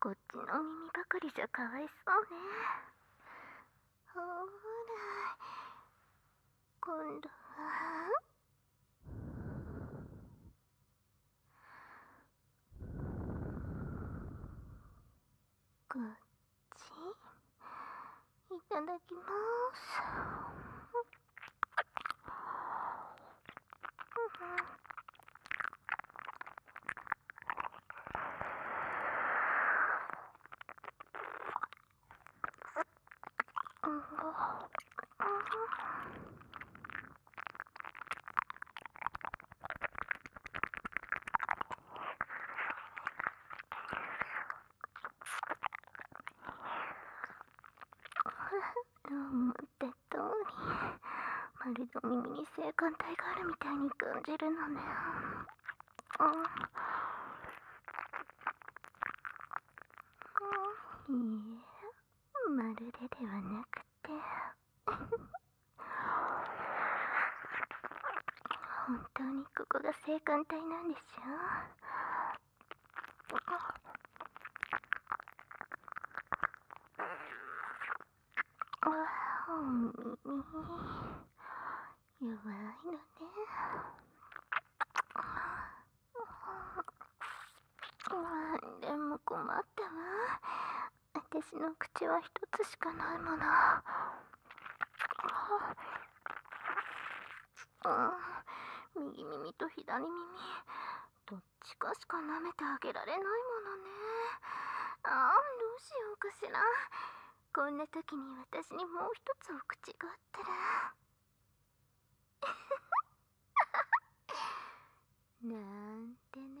こっちの耳ばかりじゃかわいそうねほら今度はこっちいただきます Mm-hmm. 思った通りまるで耳に性感帯があるみたいに感じるのねああいいえまるでではなくて…て本当にここが青函帯なんでしょお耳弱いのね。でも困ったわ。私の口はひとつしかないもの。うん、右耳と左耳どっちかしか舐めてあげられないものねああ、どうしようかしらこんな時に私にもうひとつお口があったら なんてね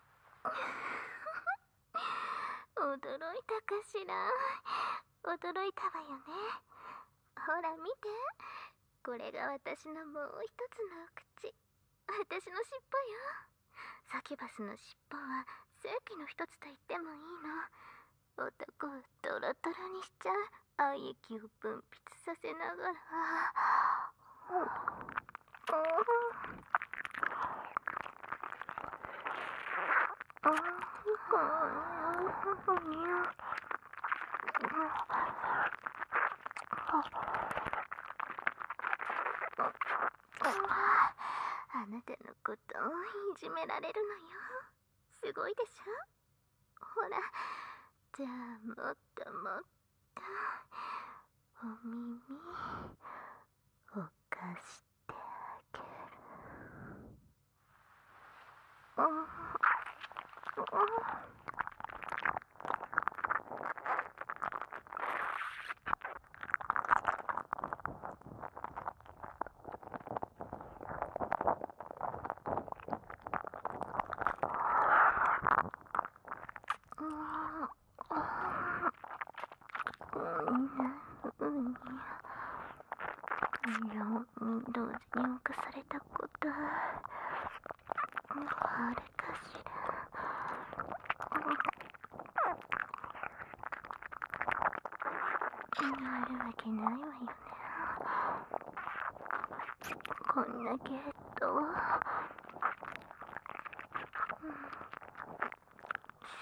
驚いたかしら驚いたわよねほら見てこれが私のもう一つの口私の尻尾よサキュバスの尻尾は正規の一つと言ってもいいの男をドロドロにしちゃう愛液を分泌させながらあなたのこといじめられるのよすごいでしょほらじゃあもっともっとお耳おかしてあげるあああ同時に犯されたことあれかしら気があるわけないわよねこんなゲート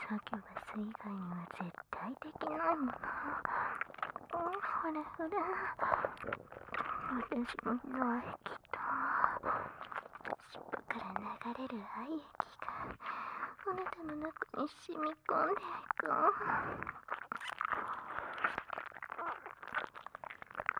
サキュバス以外には絶対できないものほらほら、私の脳液と尻尾から流れる愛液があなたの中に染み込んでいく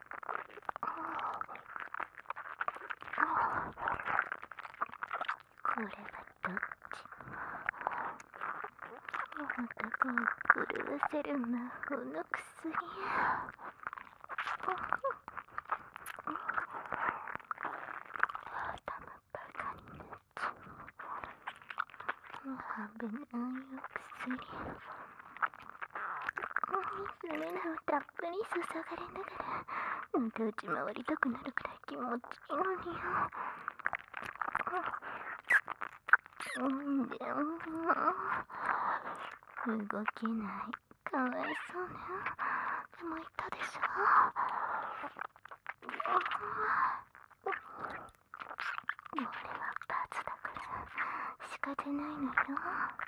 これはどっちまたこう狂わせる魔法の薬頭バカになっちゃう危ないよ薬それらを騙服に注がれながらまた打ち回りたくなるくらい気持ちいいのによ。んでも動けないかわいそうねでも言ったでしょ俺は罰だから仕方ないのよ。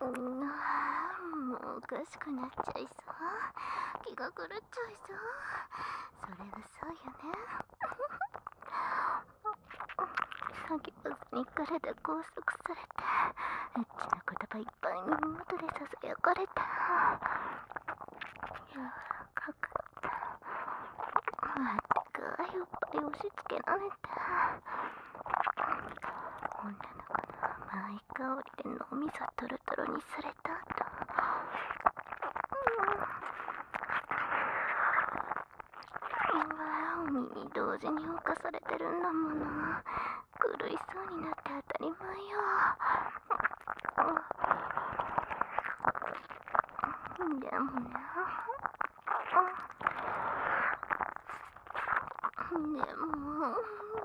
うんもうおかしくなっちゃいそう気が狂っちゃいそうそれがそうよね詐欺バスに体拘束されてエッチな言葉いっぱい耳元でささやかれた柔らかくまったくいおっぱい押し付けられた女の子の甘い香りで脳みそトロトロにされた後、うん、今に同時に犯されてるんだもの狂いそうになって当たり前よ、うん、でもな、ねでも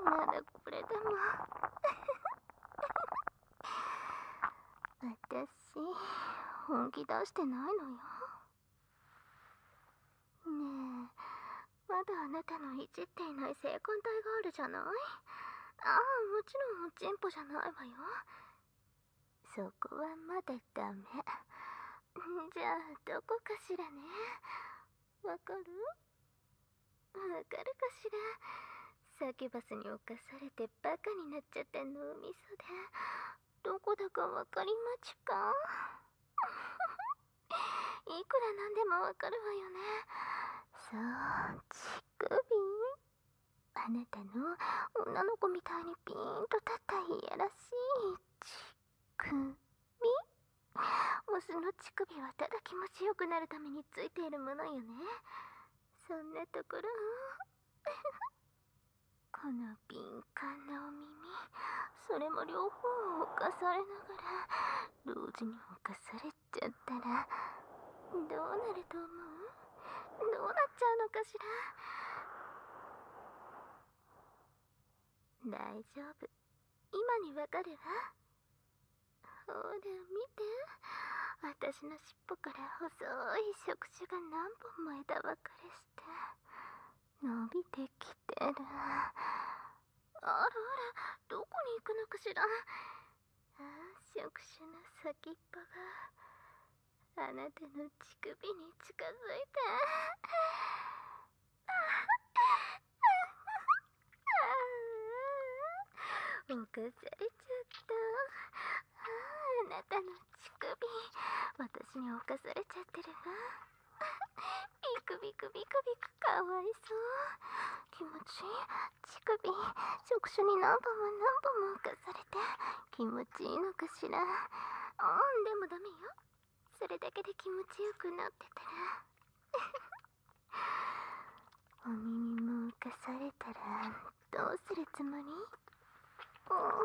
まだこれでも私本気出してないのよねえまだあなたのいじっていない性感帯があるじゃないああもちろんチンポじゃないわよそこはまだダメじゃあどこかしらねわかるわかるかしらサキュバスに侵されてバカになっちゃった脳みそでどこだかわかりまちか いくらなんでもわかるわよねそう乳首あなたの女の子みたいにピーンと立ったいやらしい乳首オスの乳首はただ気持ちよくなるためについているものよねそんなところ この敏感なお耳それも両方を犯されながら同時に犯されちゃったらどうなると思うどうなっちゃうのかしら大丈夫今にわかるわほら見て私の尻尾から細い触手が何本も枝分かれして伸びてきてるあらあらどこに行くのかしら触手の先っぽがあなたの乳首に近づいてああ犯されちゃったあなたの乳首私に犯されちゃってるわビクビクビクビクかわいそう気持ちいい乳首触手に何本も何本も犯されて気持ちいいのかしらでもダメよそれだけで気持ちよくなってたら お耳も浮かされたらどうするつもりは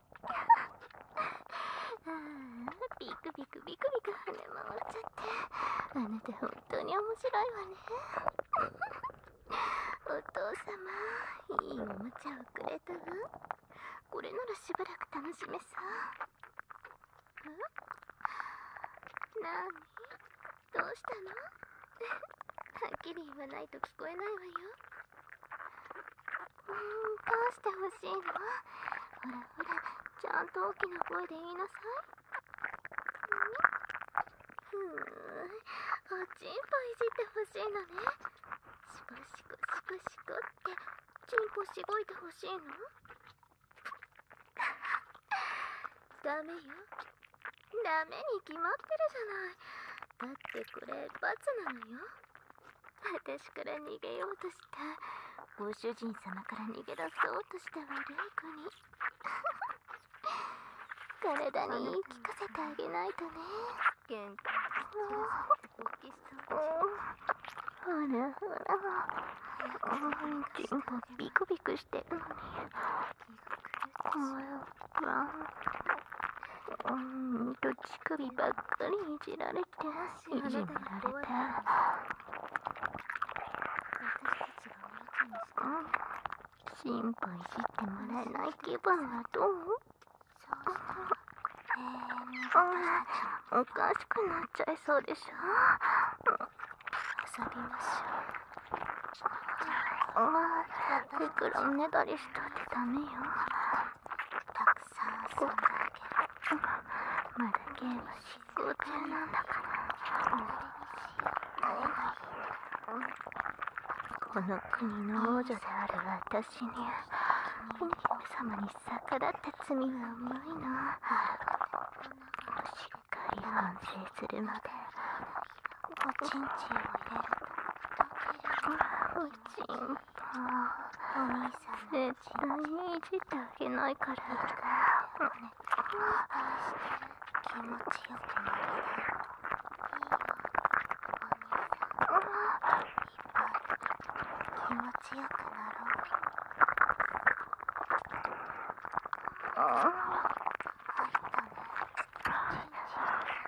ビクビクビクビク跳ね回っちゃってあなた本当に面白いわねお父様いいおもちゃをくれたわこれならしばらく楽しめさんなにどうしたの はっきり言わないと聞こえないわようしてほしいのほらほらちゃんと大きな声で言いなさいんっ…ふうおちんぽいじってほしいのねシこしこシこシコってちんぽしごいてほしいのダメよダメに決まってるじゃないだってこれ罰なのよ私から逃げようとしたご主人様から逃げ出そうとした悪い子に 体に言い聞かせてあげないとね玄関の大きそうほらほらうちんこビクビクしてるのにおはようんと乳首ばっかりいじられていじめられて心配してもらえない気分はどうおかしくなっちゃいそうでしょ遊びましょうああ、いくらねだりしたってダメよたくさん遊んであげるまだゲーム進行中なんだからこの国の王女である私にお姫様に逆らった罪はうまいなしっかり反省するまでおちんちんを入れるだけだおちん絶対にいじってあげないから気持ちよくなりなよ気持ちよくなろうああ入ったね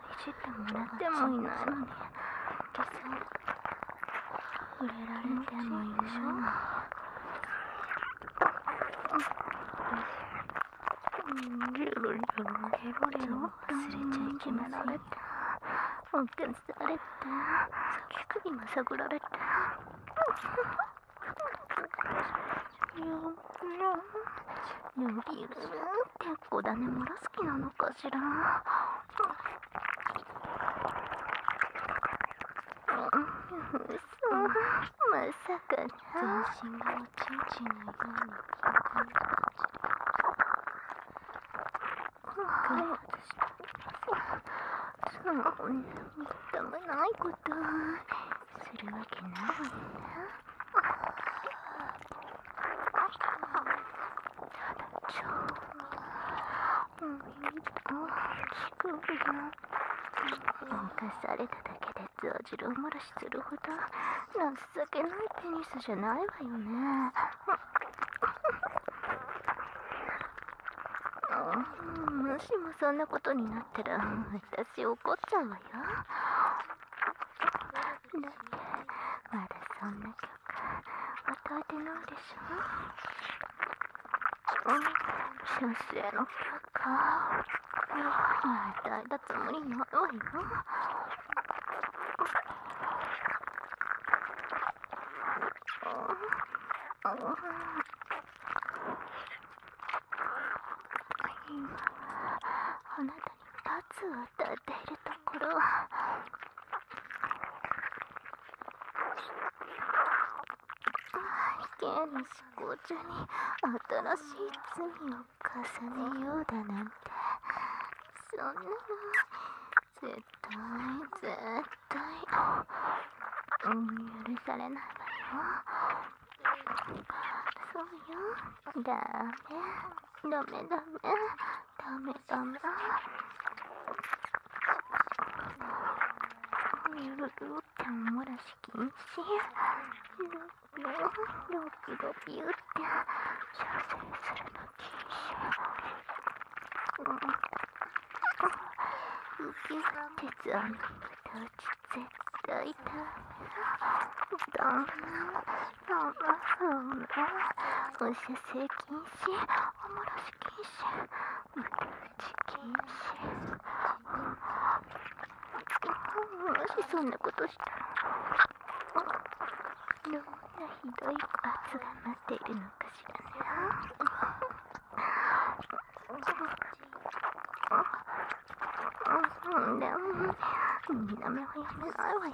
いじってもらってもいないのにけさ触れられてもいいのにゲロゲロゲロゲロ忘れちゃいけませんっておかされて今まさぐられてよよよびるって種もらすきなのかしら。嘘、まさか全身がおちんちんにがんに効いたのかしら。はい。そんな認めないことするわけないわよな。犯されただけでザジロ漏らしするほど情けないペニスじゃないわよね。もしもそんなことになったら私怒っちゃうわよ。まだそんな曲与えてないでしょ女性の曲か与えたつもりないわよあなたに立つを歌っているとこれは危険に思考中に新しい罪を重ねようだなんてそんなの絶対絶対、うん、許されないわよそうよダメダメダメダメダメゆるゆるってん漏らし禁止ゆるゆるロビロビゆって射精するの禁止うん受け鉄あの形絶対ダメだダメそんなそんな、お射精禁止おもらし禁止無理禁止もしそんなことしたらどんなひどい罰が待っているのかしらねでもみんな目はやめないわよ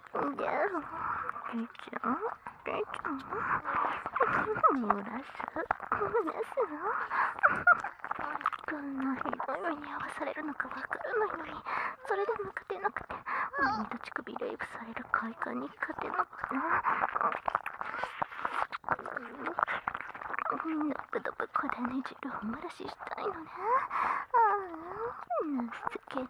こんなひどい目に合わされるのかわからないのにそれでも勝てなくてもう二乳首レイプされる快感に勝てなくてドブドブこだね汁を漏らししたいのねああ情けない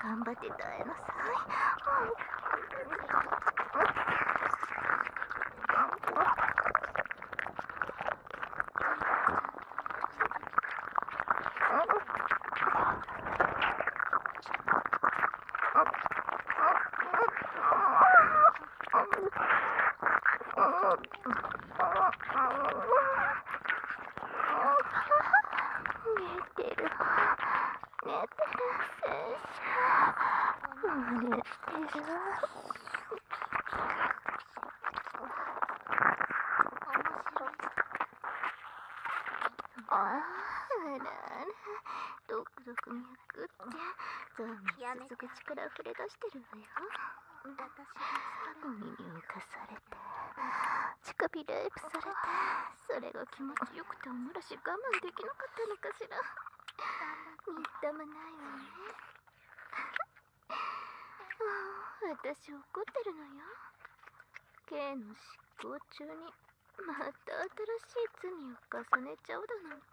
頑張って耐えなさい。寝てる。何してるあららドクドク脈ってゾンビ続く力溢れ出してるわよお耳をかされて乳首レイプされてそれが気持ちよくてお漏らし我慢できなかったのかしらみっともないわねああ私怒ってるのよ K の執行中にまた新しい罪を重ねちゃうだなんて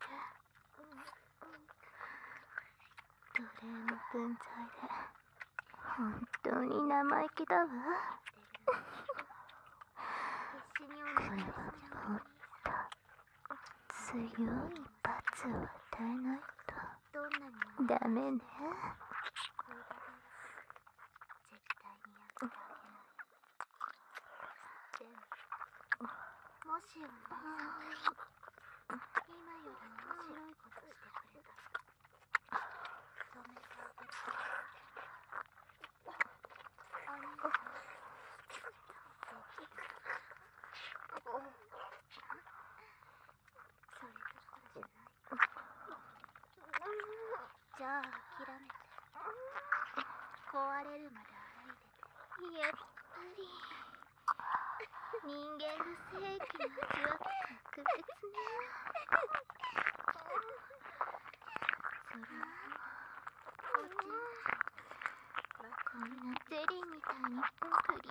奴隷の分際で本当に生意気だわもっと強い罰を与えないとダメね。もしお姉さん今より面白いことしてくれたら。じゃあ諦めて壊れるまで洗いててやっぱり人間の正義の味は格別ねそらおちんこんなゼリーみたいにプリプリ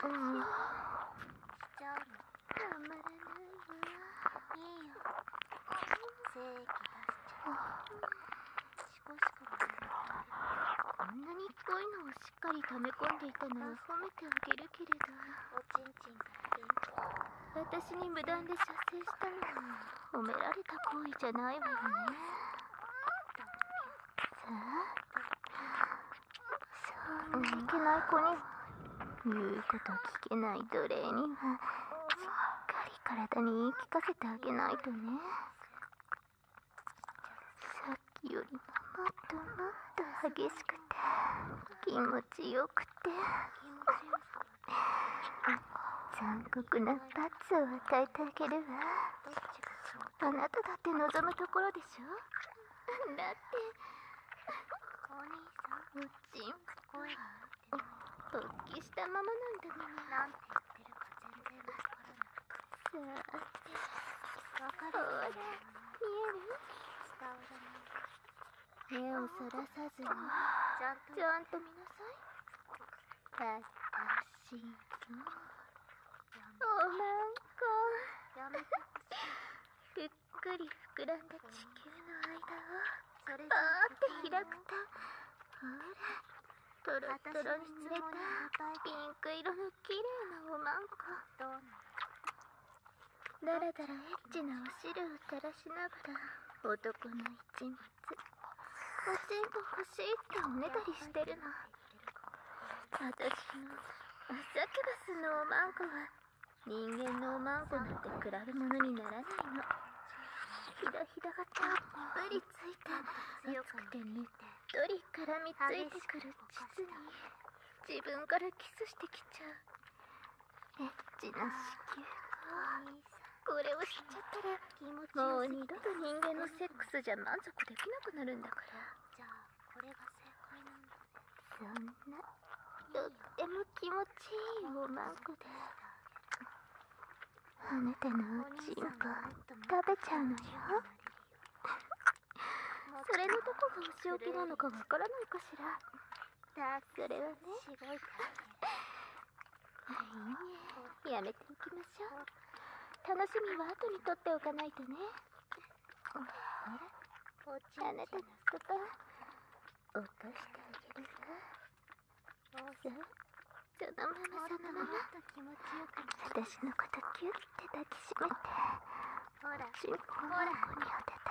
で濃い感じしちゃうのたまらないわいいよ正義出しちゃうシコシコもこんなに濃いのをしっかり溜め込んでいたなら褒めてあげるけれど人がい私に無断で射精したのに褒められた行為じゃないわよねさあそうないけない子に言うこと聞けない奴隷にはしっかり体に言い聞かせてあげないとねさっきよりももっともっと激しくて気持ちよくて。残酷な罰を与えてあげるわあなただって望むところでしょだってお兄さんおちん突起したままなんだもんなんて言ってるか全然わからないさあわかるほら見える目をそらさずにちゃんとちゃんと見なさい私のおまんこやっくり膨らんだ地の間をそーって開くとほらとろとろに詰めたピンク色の綺麗なおまんこだらだらエッチなお汁を垂らかしながら男の一密おちんこ欲しいっておねだりしてるの私のサキュバスのおまんこは人間のおまんこなんて比べ物にならないのひだひだがたっぷりついて熱くてねっとり絡みついてくる膣に自分からキスしてきちゃうエッチな子宮かこれを知っちゃったらもう二度と人間のセックスじゃ満足できなくなるんだからこれが正解なんだそんなとっても気持ちいいおまんこであなたのおちんこ食べちゃうのよそれのどこがお仕置きなのかわからないかしらだそれはねしごいかいいねやめておきましょう楽しみは後にとっておかないとねああなたのこと落としてあげるわそうそのままそのまま私のことキュッて抱きしめてほらほらこに当てて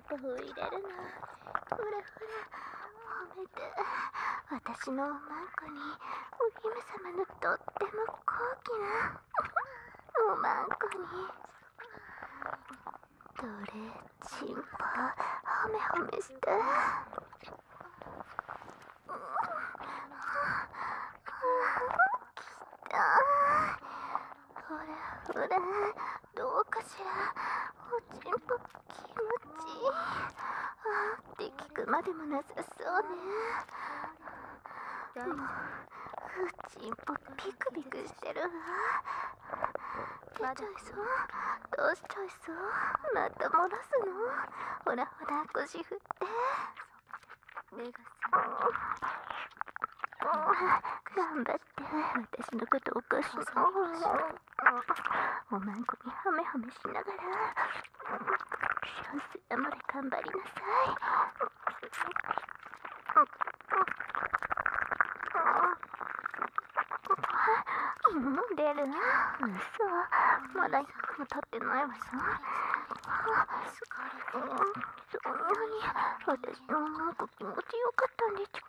ンプ入れるなほらほら褒めて私のおまんこにお姫様のとっても高貴なおまんこにどれちんぽほめほめして。ほらほら。どうかしらおちんぽ気持ちいいあって聞くまでもなさそうねもうおちんぽピクピクしてるわ出ちゃいそうどうちゃいそうまた漏らすのほらほら腰振って目が覚め頑張って私のこと起こしそうおまんこにハメハメしながら幸せまで頑張りなさい飲んでる嘘まだ1分も経ってないわよそんなに私のおまんこ気持ちよかったんでちゅか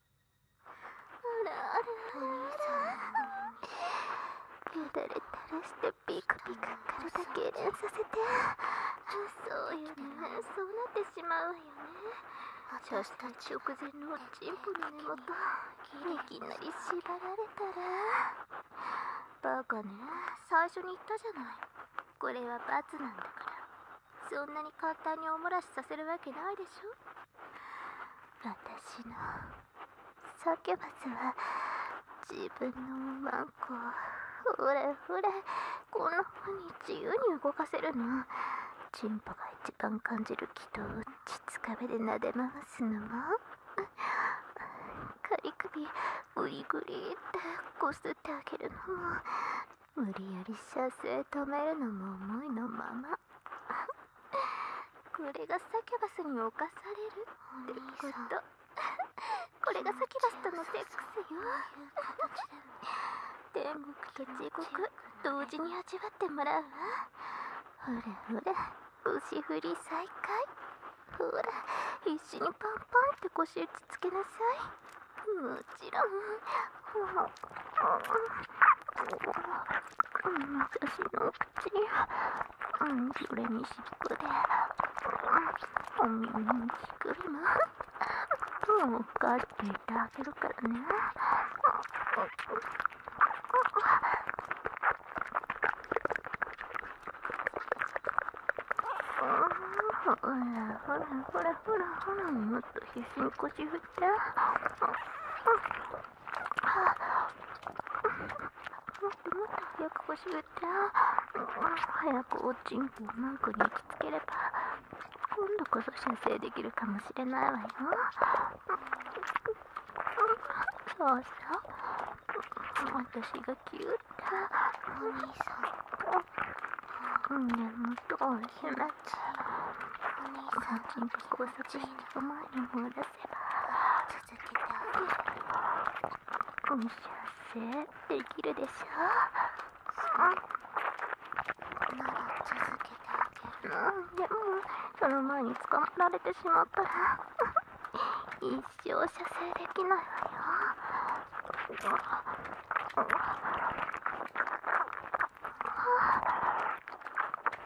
お兄さんよだれ垂らしてピクピクと痙攣させてそうのねそうなってしまうわよね女子たち直前のおちんぽの根元いきなり縛られたらバカね最初に言ったじゃないこれは罰なんだからそんなに簡単におもらしさせるわけないでしょ私のサキュバスは自分のワンコをふれふれこんな風に自由に動かせるのチンポが一番感じる気筒をちつかめで撫で回すのも仮首グリグリってこすってあげるのも無理やり射精止めるのも思いのままこれがサキュバスに侵されるってここれがサキュバスとのセックスよ天国と地獄同時に味わってもらうわほらほら腰振り再開ほら必死にパンパンって腰打ちつけなさいもちろんほら私の口が、それにしくで、うん、にしくりま。うかっていてあげるからね。ほらほらほらほらほらもっと必死に腰振って…ももっ、っ…とと早く腰振って早くおちんこをマンクに行きつければ今度こそ射精できるかもしれないわよそうそう私がキュッとお兄さんうんもどうしまお兄さんにこそちょっ前に戻せば続けてあげるお見せできるでしょうなら続けてあげる、うでもその前に捕まられてしまったら一生射精できないわよ牛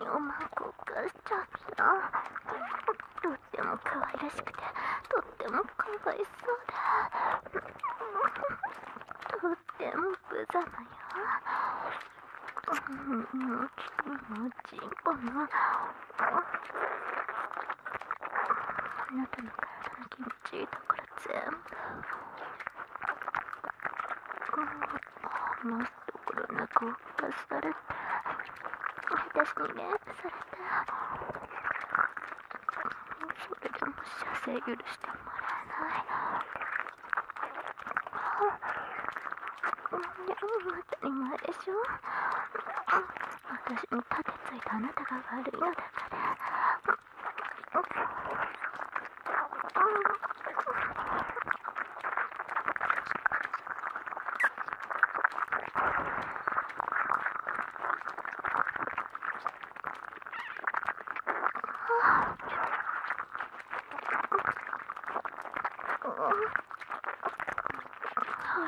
におまんこがしちゃったとっても可愛らしくてとってもかわいそうだとっても無様よ。うん、もちんこの。あなたの体の気持ちいいところ全部。余すところなくおされて。私に連鎖されて。それでも射精許してもらえない。当たり前でしょ私に盾ついたあなたが悪いのだからあほほらら、そ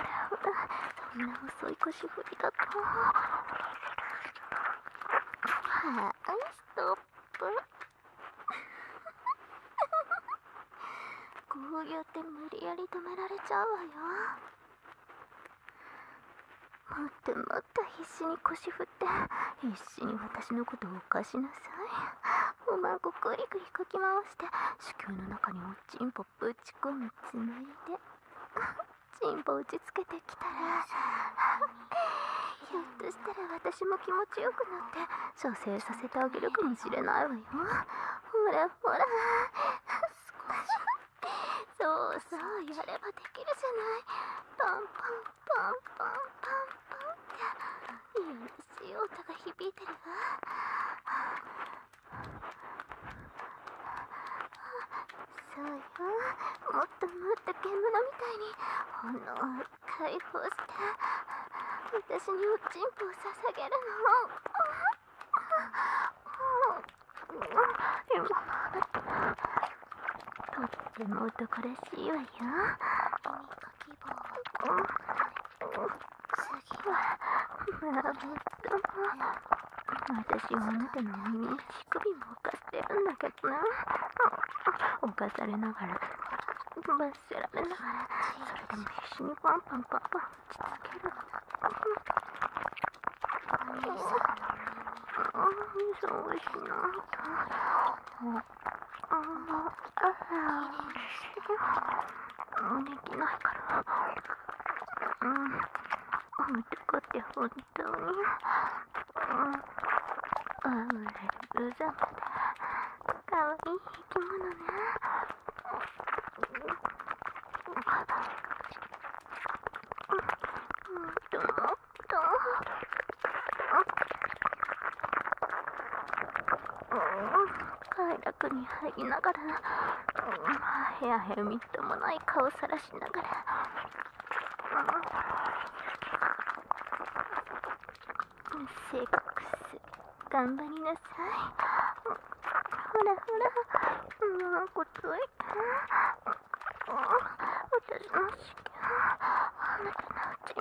んな遅い腰振りだとはーストップ こうやって無理やり止められちゃうわよも っともっと必死に腰振って 必死に私のことを犯しなさいうまくぐりぐりかき回して子宮の中におちんぽぶち込むつないでちんぽ打ちつけてきたら ひょっとしたら私も気持ちよくなって蘇生させてあげるかもしれないわよほらほら しそうそうやればできるじゃないパンパンンポンポンポンポンっていい音が響いてるわそうよもっともっと獣みたいに炎を解放して私におちんぽを捧げるのとっても男らしいわよ。希望を次はラブ私はあなたの耳に乳首もかってるんだけどな犯されながら罰せられながらそれでも必死にパンパンパンパン打ちつけるおいしいなと。うんできないからうん置いてくって本当にうんうれうざくてかわいい生き物ねどうどう快楽に入りながら部屋へみっともない顔さしながらせっかく頑張りなさいほらほらもうこつい私の試験あなたのうち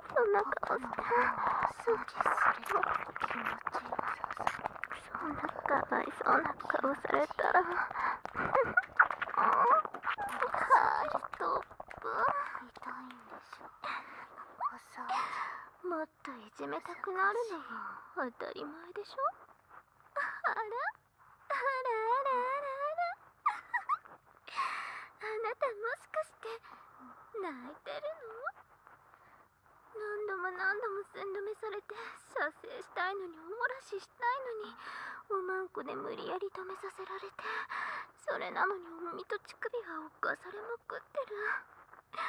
そんな顔して掃除するの気持ちいい。そんなかわいそうな顔されたらはいトップ痛いんでしょもっといじめたくなるのは当たり前でしょあらあらあらあらあなたもしかして泣いてるの何度も何度も寸止めされて撮影したいのにお漏らししたいのにおまんこで無理やり止めさせられてそれなのにおみと乳首が犯されまくってる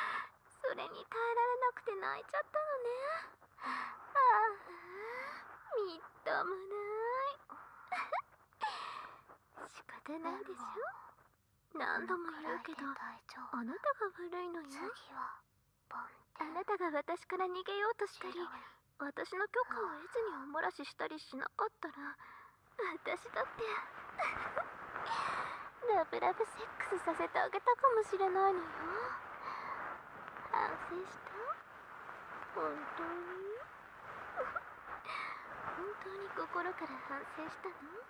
それに耐えられなくて泣いちゃったのねああみっともない 仕方ないでしょ何度も言うけどあなたが悪いのよあなたが私から逃げようとしたり私の許可を得ずにおもらししたりしなかったら私だって ラブラブセックスさせてあげたかもしれないのよ反省した本当に 本当に心から反省したの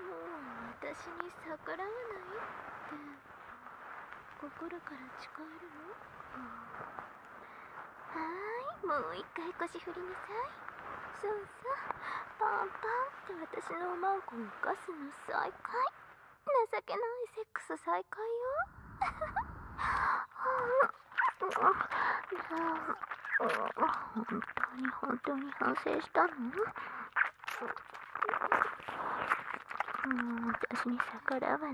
もう私に逆らわないって心から誓えるの、はーいもう一回腰振りなさいそうそうパンパンって私のおまんこを犯すの再開情けないセックス再開ようん 本当に本当に反省したのもう私に逆らわない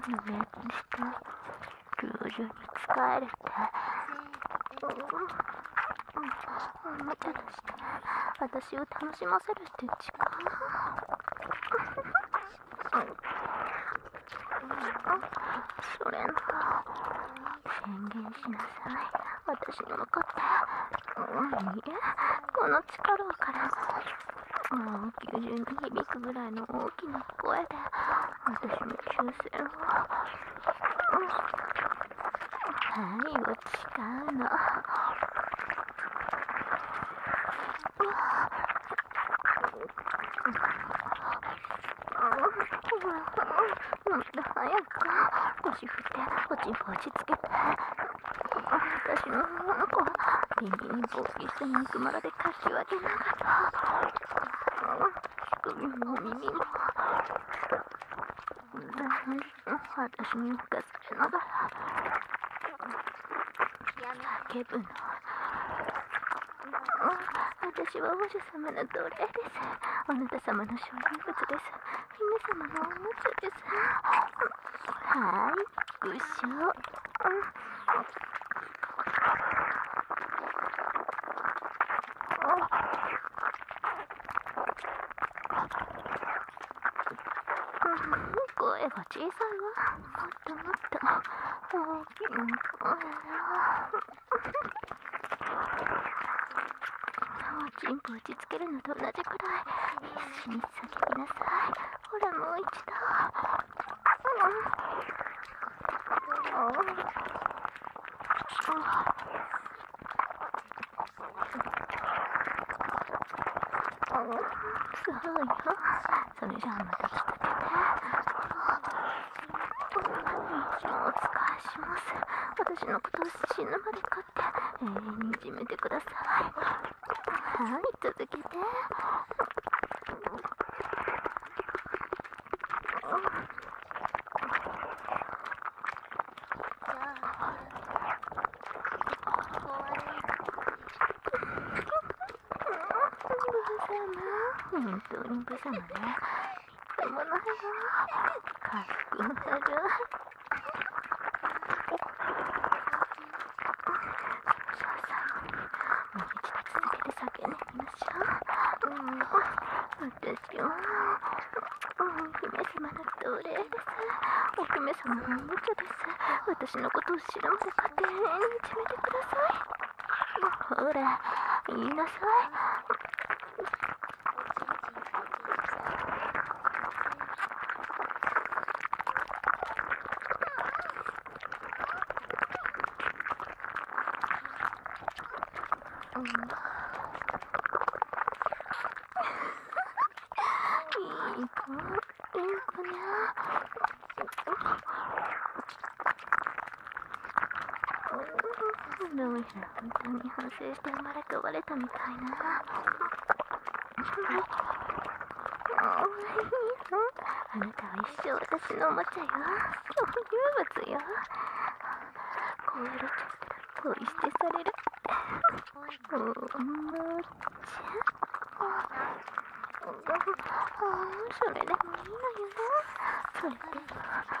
と、めっちしル徐々に使れるっおもちゃとして私を楽しませるって違うそれなら宣言しなさい私に分かって…いいえこの力をからもう90に響くぐらいの大きな声で私の抽選を、うん、愛を誓うのっ、っ…もっと早く腰振って落ちぶちつけて私の女の子はに冒険して肉まらでかしわけなかった首も耳も私に任せながら気分の私は王女様の奴隷です。あなた様の所有物です。姫様のおもちゃです。はい、ご賞。声が小さいわ。もっともっと。大きい。チンポ落ち着けるのと同じくらい必死にさ叫びなさいほらもう一度、うんうん、ああそうよそれじゃあまた来てね私のことを死ぬまで飼って永遠にいじめてくださいはい続けて本当に無様ね。止まないなかっこなるもう一度続けて叫んでみましょう、私は、う姫様の奴隷ですお姫様のおもちゃです私のことを知らまで家庭にいじめてくださいほら言いなさい、うんいい子いい子にゃどうやら本当に反省して生われたみたいな。あなたは一生私のおもちゃよ。そう物よ。こうやられちゃったら恋してされる。おもちそれでもいいのよ。それで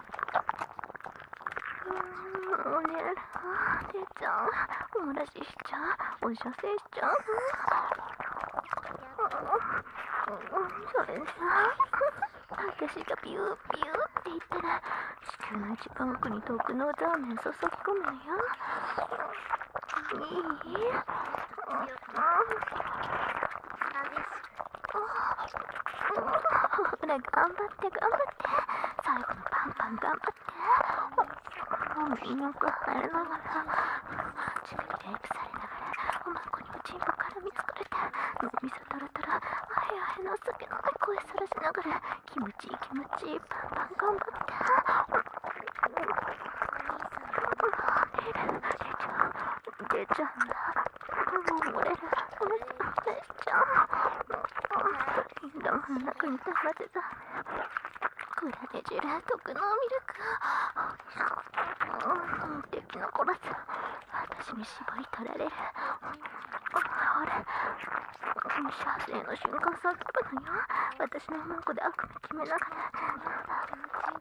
おねえ、てちゃん、お漏らししちゃう、おしゃせしちゃう。それさ、私がビュービューって言ったら、地球の一番奥にくのラーメン注ぎ込むのよ。いいあ、あ、ほ ら頑張って頑張って最後のパンパン頑張ってお耳のく入れながらチビにレイプされながらおまんこにおちんこから見つかれて脳みそとロとロあへあへの酒の声さらしながら気持ちいい気持ちいいパンパン頑張って出ちゃうんだ漏れる漏れちゃうめっどんな国食べてたグラデジュラ特濃ミルク敵のこら私に絞り取られるあれ射精の瞬間叫ぶのよ私の文句で悪夢決めながら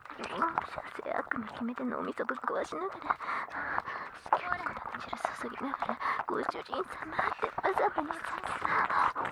性悪に決めて脳みそぶっ壊しながら好きなから汁注ぎながらご主人様ってわざわざにさせーーの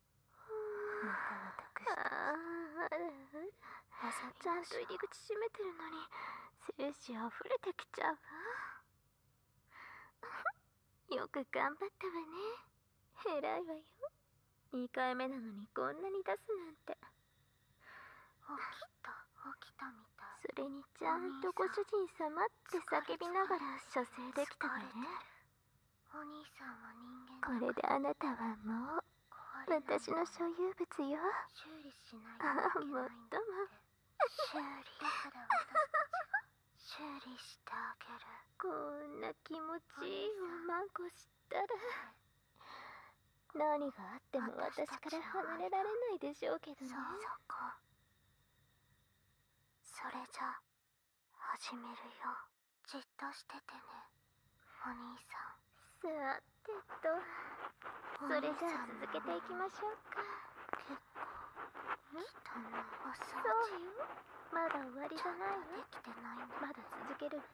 ちゃんと入り口閉めてるのに精子溢れてきちゃうわよく頑張ったわね偉いわよ2回目なのにこんなに出すなんて起きた起きたみたいそれにちゃんとご主人様って叫びながら射精できたわねこれであなたはもう私の所有物よああ、もないとも。けないんだ修理だから私たち修理してあげるこんな気持ちいいおまんこしたら何があっても私から離れられないでしょうけどねそこそれじゃ始めるよじっとしててねお兄さんさてとそれじゃ続けていきましょうか結構汚いお掃除そまだ終わりじゃないわでまだ続けるのよ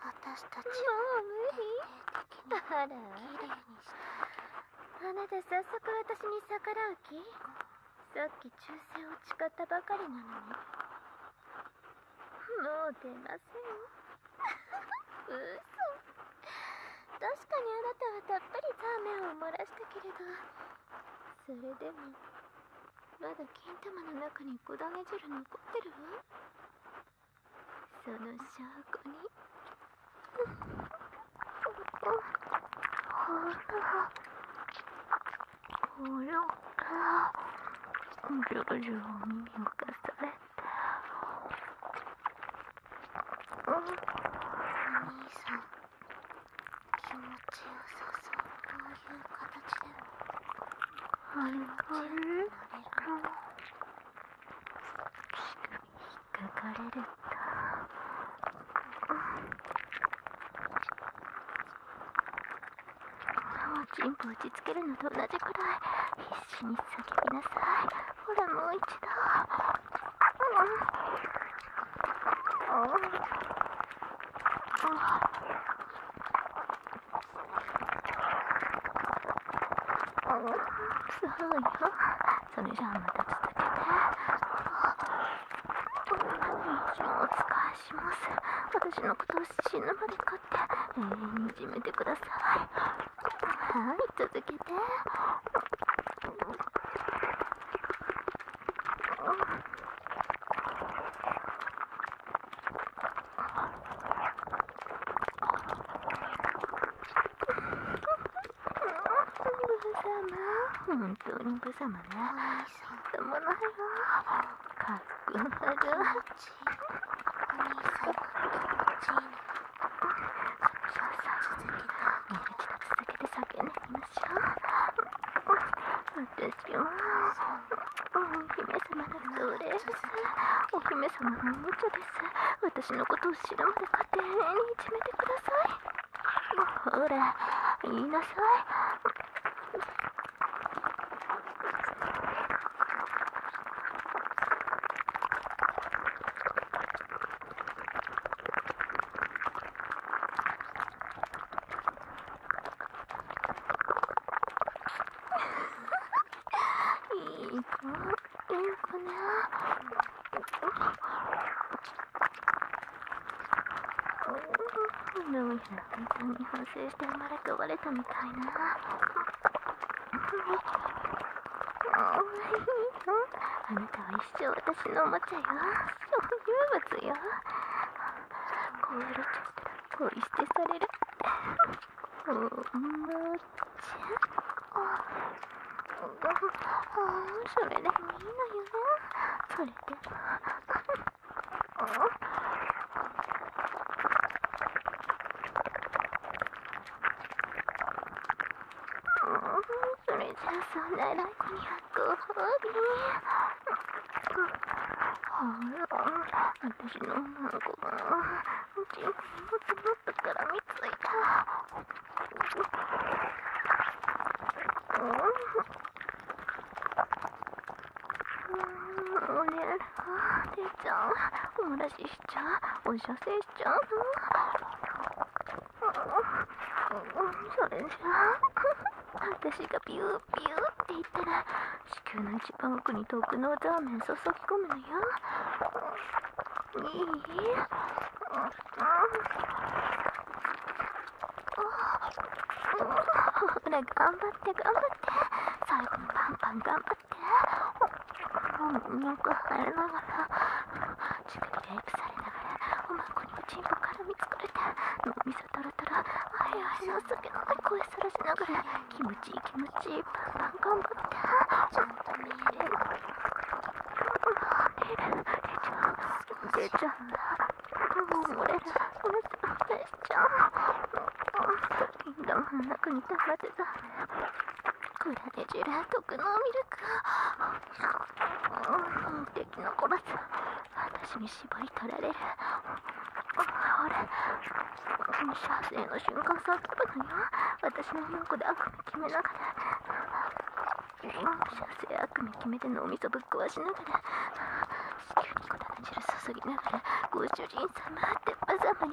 私たちもう無理徹底的ににしてあなた早速私に逆らう気さっき忠誠を誓ったばかりなのにもう出ません嘘確かにあなたはたっぷりザーメンを漏らしたけれどそれでもまだ金玉の中に小だね汁残ってるわその証拠に Oh, これからコンピ耳をされてお兄さん気持ちよさそうという形でもあれがれる引っかかれるんだ。はチンポ打ちつけるのと同じくらい必死に叫びなさいほらもう一度うんうんあうんそうよそれじゃあまた続けてお仕えします私のことを死ぬまで飼って永遠にいじめてくださいはい続けて本当に無様ね。さんでもないわかっこなるお兄さん気ちいいねさあ続けてもうけて叫んでみましょう私はお姫様の奴隷ですお姫様のおもちゃです私のことを知るまで家庭にいじめてくださいほら言いなさいいい子ね。どうやら本当に反省して生まれ変われたみたいな。あなたは一生私のおもちゃよ。所有物よ。こうやられちゃったら恋してされる。おもちゃ。それでもいいのよね。それでも。それじゃあそんなラコにはご褒美あらしのお孫がチンコにもっつもっからみついたうんおねえ出ちゃうお漏らししちゃうお射精しちゃうそれじゃあ私がビュービューって言ったら子宮の一番奥に特納ラーメン注ぎ込むのよいいほら頑張って頑張って最後のパンパン頑張ってなんか腫れながら乳首レイプされながらおまんこにもチんポ絡みつくれて脳みそとロとロあいあいの酒飲んで声さらしながら気持ちいい気持ちいいパンパン頑張ってちゃんと見える出ちゃうちゃんだう…れしちゃどんな国溜まってさ…これでジェラ特のミルク敵の殺す私に縛り取られる俺射精の瞬間叫ぶのよ私の横で悪夢決めながら射精悪夢決めて脳みそぶっ壊しながら汁注ぎながらご主人様って無様に叫ぶ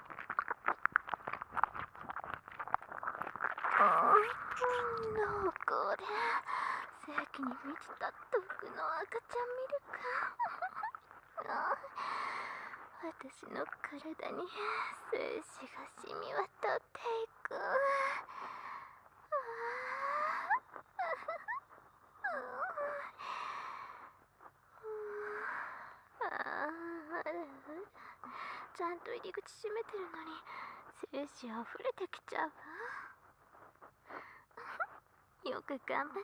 濃厚で正気に満ちた毒の赤ちゃんミルク私の体に精子が染み渡っていくあああちゃんと入り口閉めてるのに精子あふれてきちゃうわよく頑張ったわね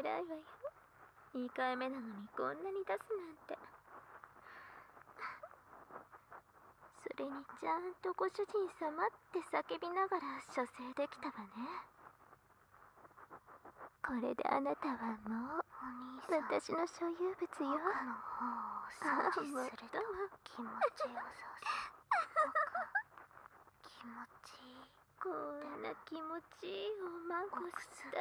偉いわよ2回目なのにこんなに出すなんてそれにちゃんとご主人様って叫びながら射精できたわねこれであなたはもう私の所有物よ他の方を気持ちよそう気持ちいいこんな気持ちいいおまんこした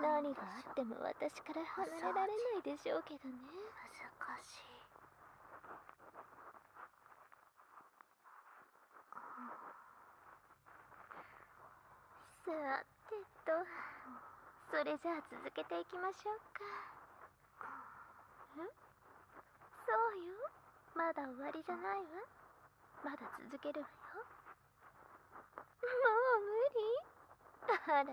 ら何があっても私から離れられないでしょうけどね難しいさてとそれじゃあ続けていきましょうかえそうよまだ終わりじゃないわまだ続けるわよもう無理あらあら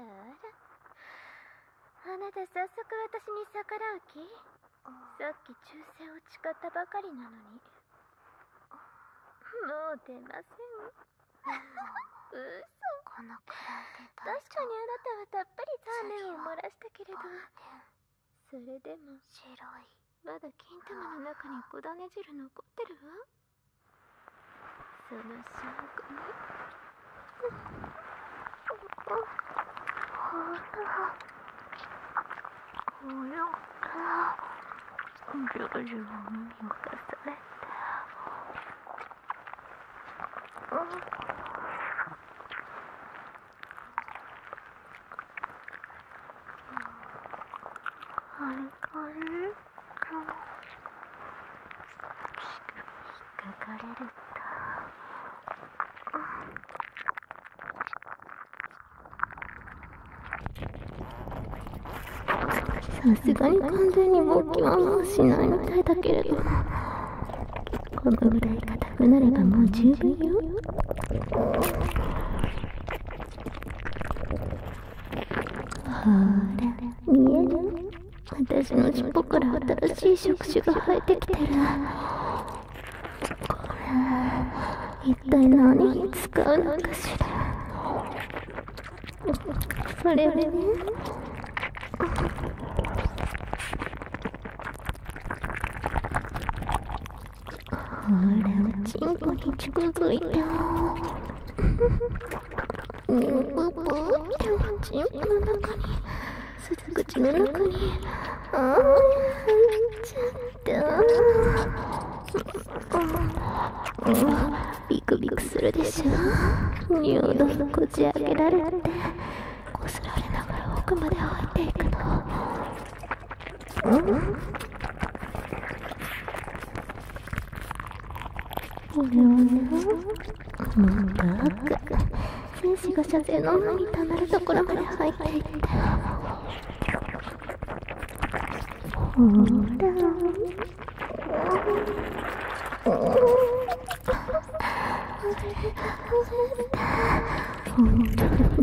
あなた早速私に逆らう気さっき忠誠を誓ったばかりなのにもう出ません 嘘このくらいで確かにあなたはたっぷり残念を漏らしたけれどそれでも白いまだ金玉の中に小種汁残ってるわその証拠にほらこよから徐々に耳を出されてカリカリ引っかかれるんだ。さすがに完全に勃起はもうしないみたいだけれどもこのぐらい硬くなればもう十分よほら見える私の尻尾から新しい触手が生えてきてるこら痛一体何に使うのかそれでねほらおちんこに近づいたニューおちんこの中にす口の中にああ入ちゃっうビクビクするでしょ乳道のこじ開けられてこすられながら奥まで入っていくのんおにょおにょ深く精子が射精の涙にたまるところまで入っていってほら、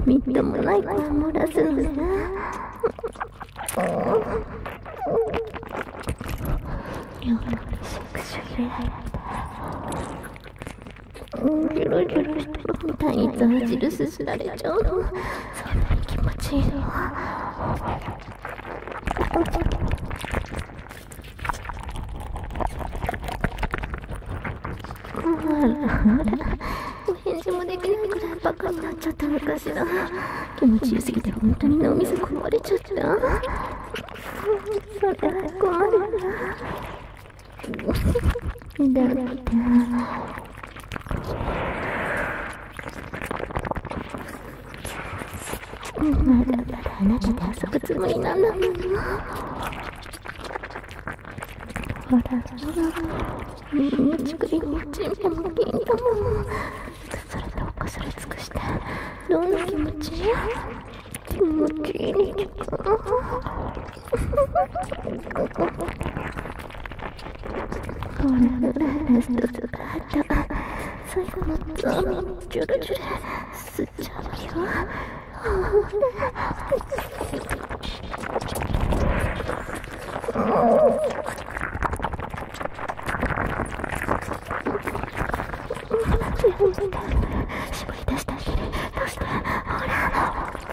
みっともない子を漏らすのだよしくしゅれギョロギョロしたみたいにザーすすられちゃうの。そんなに気持ちいいのお返事もできないくらいバカになっちゃったのかしら気持ちよすぎて本当に脳みそ壊れちゃったそれは困るなだってまだまだあなたで遊ぶつもりなんだもんほらほら乳首にチンポも金玉もそれとおされ尽くしてどんな気持ち気持ちいいか最後の罪にジュルジュル吸っちゃうよ。絞り出してあげる。どうしてほら。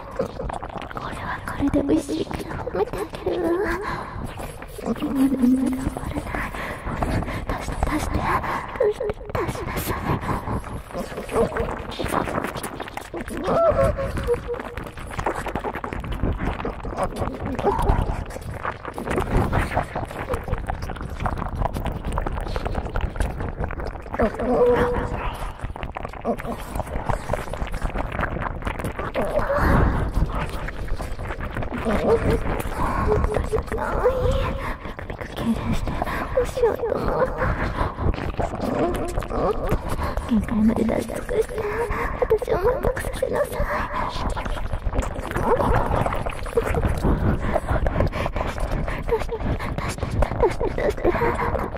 これはこれで美味しいから褒めてあげるわ頑張れない頑張れない出して出して出してっ、っ、っ…っ、っ、なさっ…限界まで脱力して私を満足させなさい出して出して出して出して出して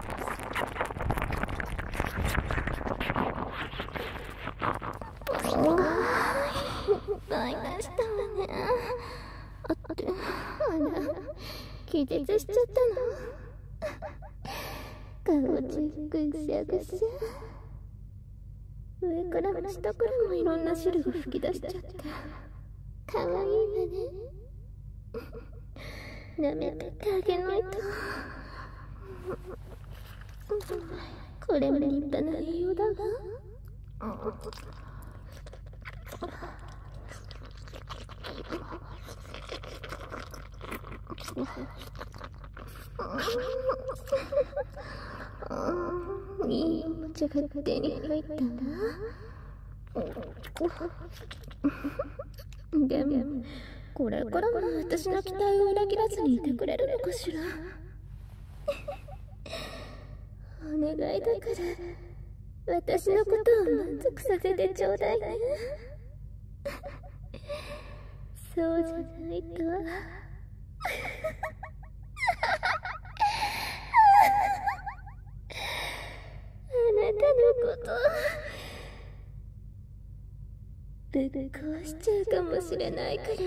台無しだわねあってあら気絶しちゃったの顔ちぐしゃぐしゃ上から下からもいろんな汁が吹き出しちゃってかわいいわね舐めてってあげないとこれも立派な栄養だが…んわいいおもちゃが手に入ったな。でもこれからも私の期待を裏切らずにいてくれるのかしらお願いだから私のことを満足させてちょうだいねそうじゃないとあなたのことぶっ壊しちゃうかもしれないからね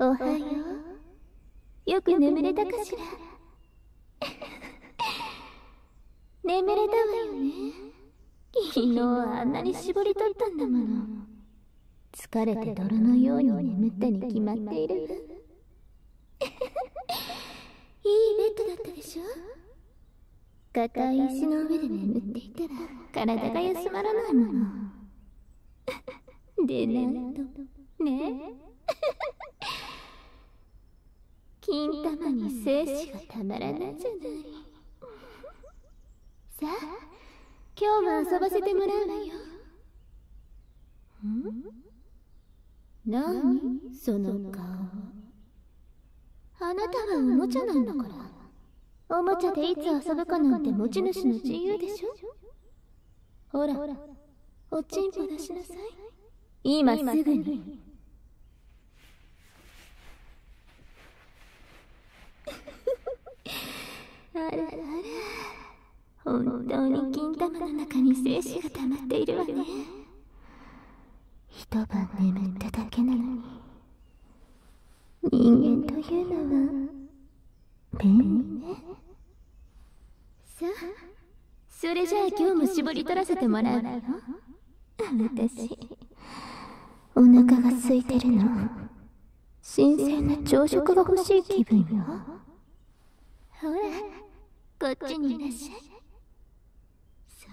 おはようよく眠れたかしら 眠れたわよね昨日あんなに絞り取ったんだもの疲れて泥のように眠ったに決まっている いいベッドだったでしょ硬い石の上で眠っていたら体が休まらないものでないとねキンタマに精子がたまらないじゃないさあ今日も遊ばせてもらうわよん何その顔あなたはおもちゃなんだからおもちゃでいつ遊ぶかなんて持ち主の自由でしょほらおちんぽ出しなさい今すぐに あらあら本当に金玉の中に精子が溜まっているわね一晩眠っただけなのに人間というのは便利ねさあそれじゃあ今日も絞り取らせてもらうわよ私お腹が空いてるの新鮮な朝食が欲しい気分よほらこっちにいらっしゃいそう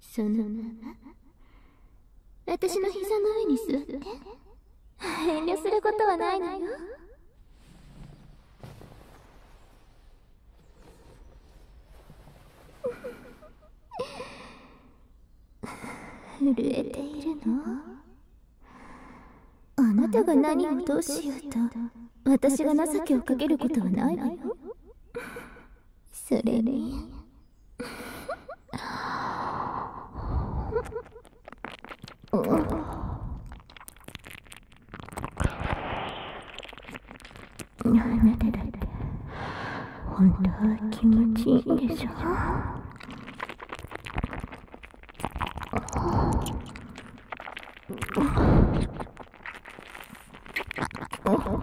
そのまま私の膝の上に座って遠慮することはないのよ震えているのあなたが何をどうしようと私が情けをかけることはないのよそれにあなただって本当は気持ちいいんでしょ Oh.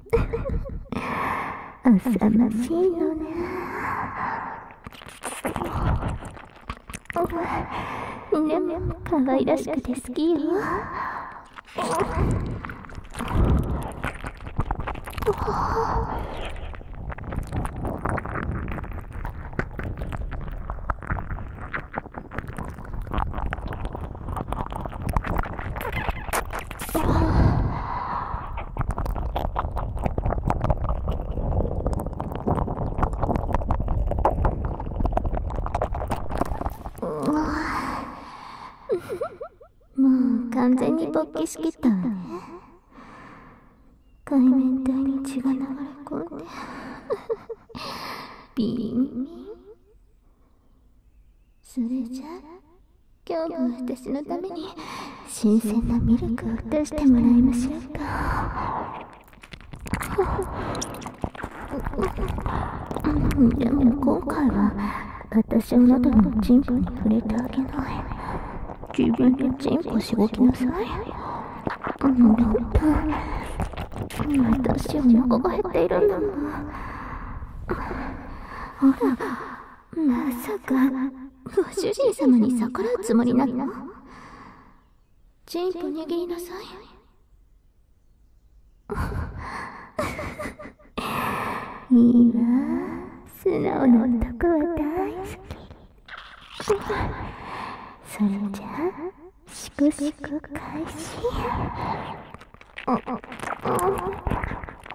ふふふ、浅ましいよねでも可愛らしくて好きよもう完全に勃起しきったわね海面体に血が流れ込んで ビンビンそれじゃあ…今日も私のために新鮮なミルクを出してもらいましょうかでも今回は私あなたのチンポに触れてあげない自分でチンポしごきなさいだって私はお腹が減っているんだもんほらまさかご主人様に逆らうつもりなのチンポ握りなさいいいわ素直な男は大好きそれじゃしくしく開始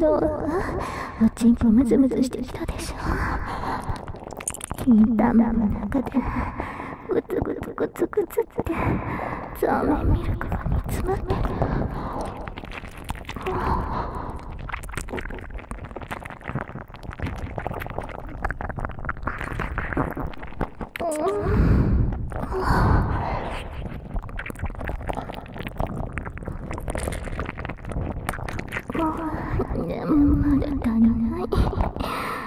どうおちんぽムズムズしてきたでしょ金玉の中でグツグツググツグツっザーメンミが煮詰まってもう眠る足りない。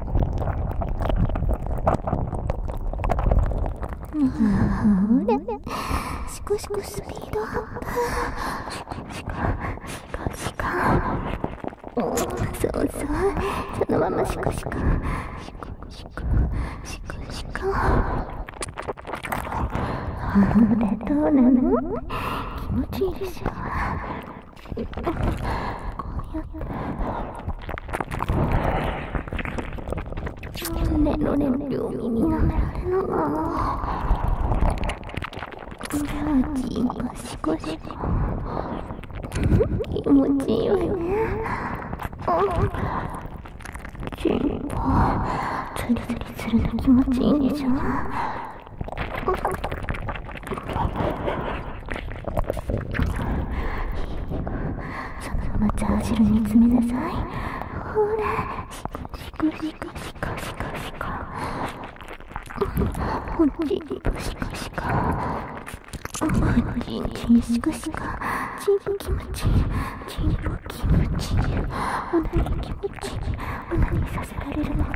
ほれシコシコスピードシコシコシコシコそうそうそのままシコシコシコシコシコシコほれどうなの気持ちいいでしょネロネロ耳舐められながらジーゴシゴシ気持ちいいよねチンポツルツルツの気持ちいいでしょそのままチャーシに詰めなさいほらシコシコシコシコシコシコほっちにシコシコほっちにシコシコちん気持ちちん気持ちおなに気持ちおなにさせられるの気持ち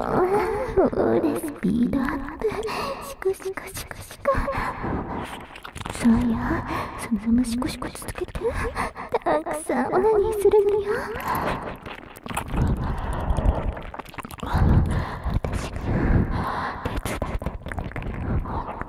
うん、スピードアップシクシクシクそうやそのままシコシコ続けてたくさんオナニーするのよ私が手伝っ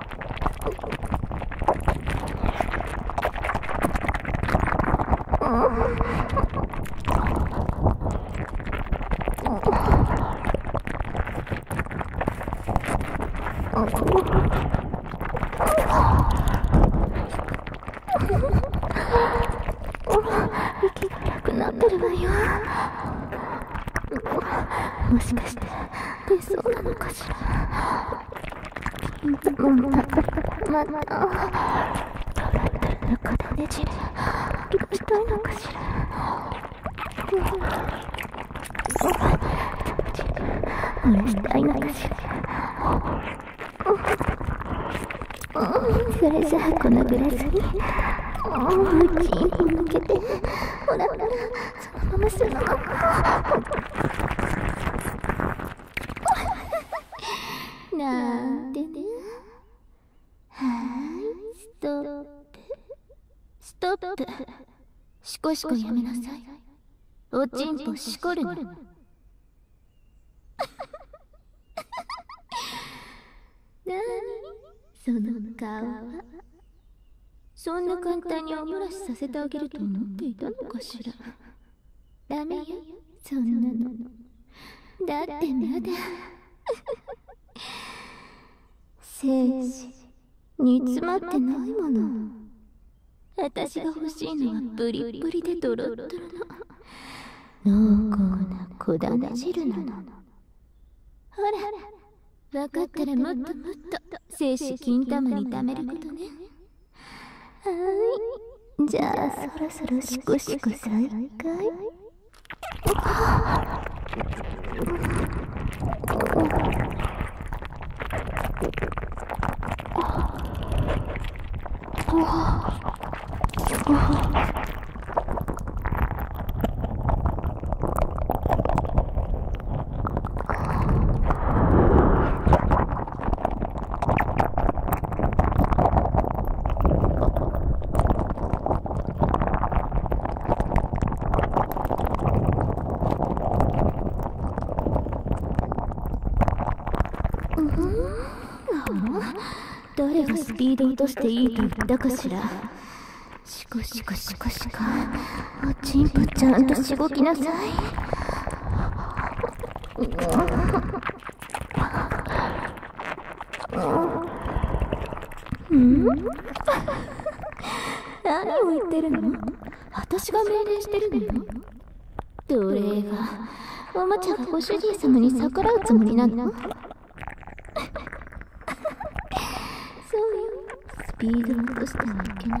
息がなくなってるわよもしかして出そなのかしらままた笑ってるのかだねじるどうしたいのかしらおでもあれしたいのかしらそれじゃあこのグラスにおうちにおけてほらほらそのままそのままなんてねはいストップストップシコシコやめなさいおちんぽしこるななにその顔はそんな簡単にお漏らしさせてあげると思っていたのかしらダメよそんなのだってまだ生死煮詰まってないものあたしが欲しいのはブりブりでとろッドの濃厚なこだね汁なのほらわかったらもっともっと精子金玉に貯めることねはいじゃあそろそろシコシコ再開 誰がスピード落としていいと言ったかしらおちんぽちゃんとしごきなさい。うん何を言ってるの私が命令してるのよ奴隷がおもちゃがご主人様に逆らうつもりなのそうよスピード落としてはいけない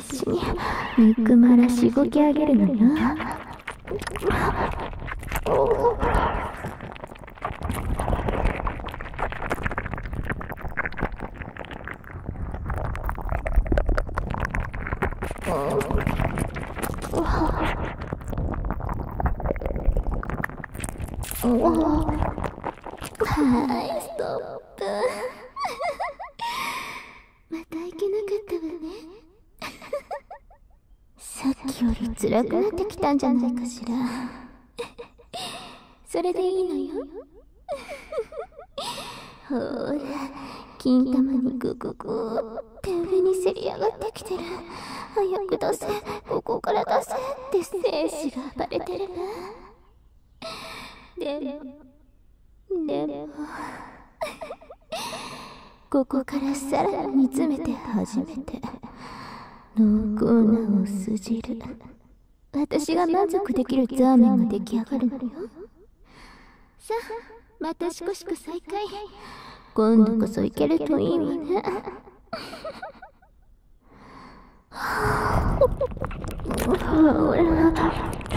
私憎まらしごき上げるのよはい、ストップ。またいけなかったわねさっきより辛くなってきたんじゃないかしらそれでいいのよほらタマにグググって上にせり上がってきてる早く出せここから出せって精子が暴れてるででもここからさらに詰めて初めて濃厚なお酢汁私が満足できるザーメンが出来上がるさあまたしこしこ再開今度こそ行けるといいわねほら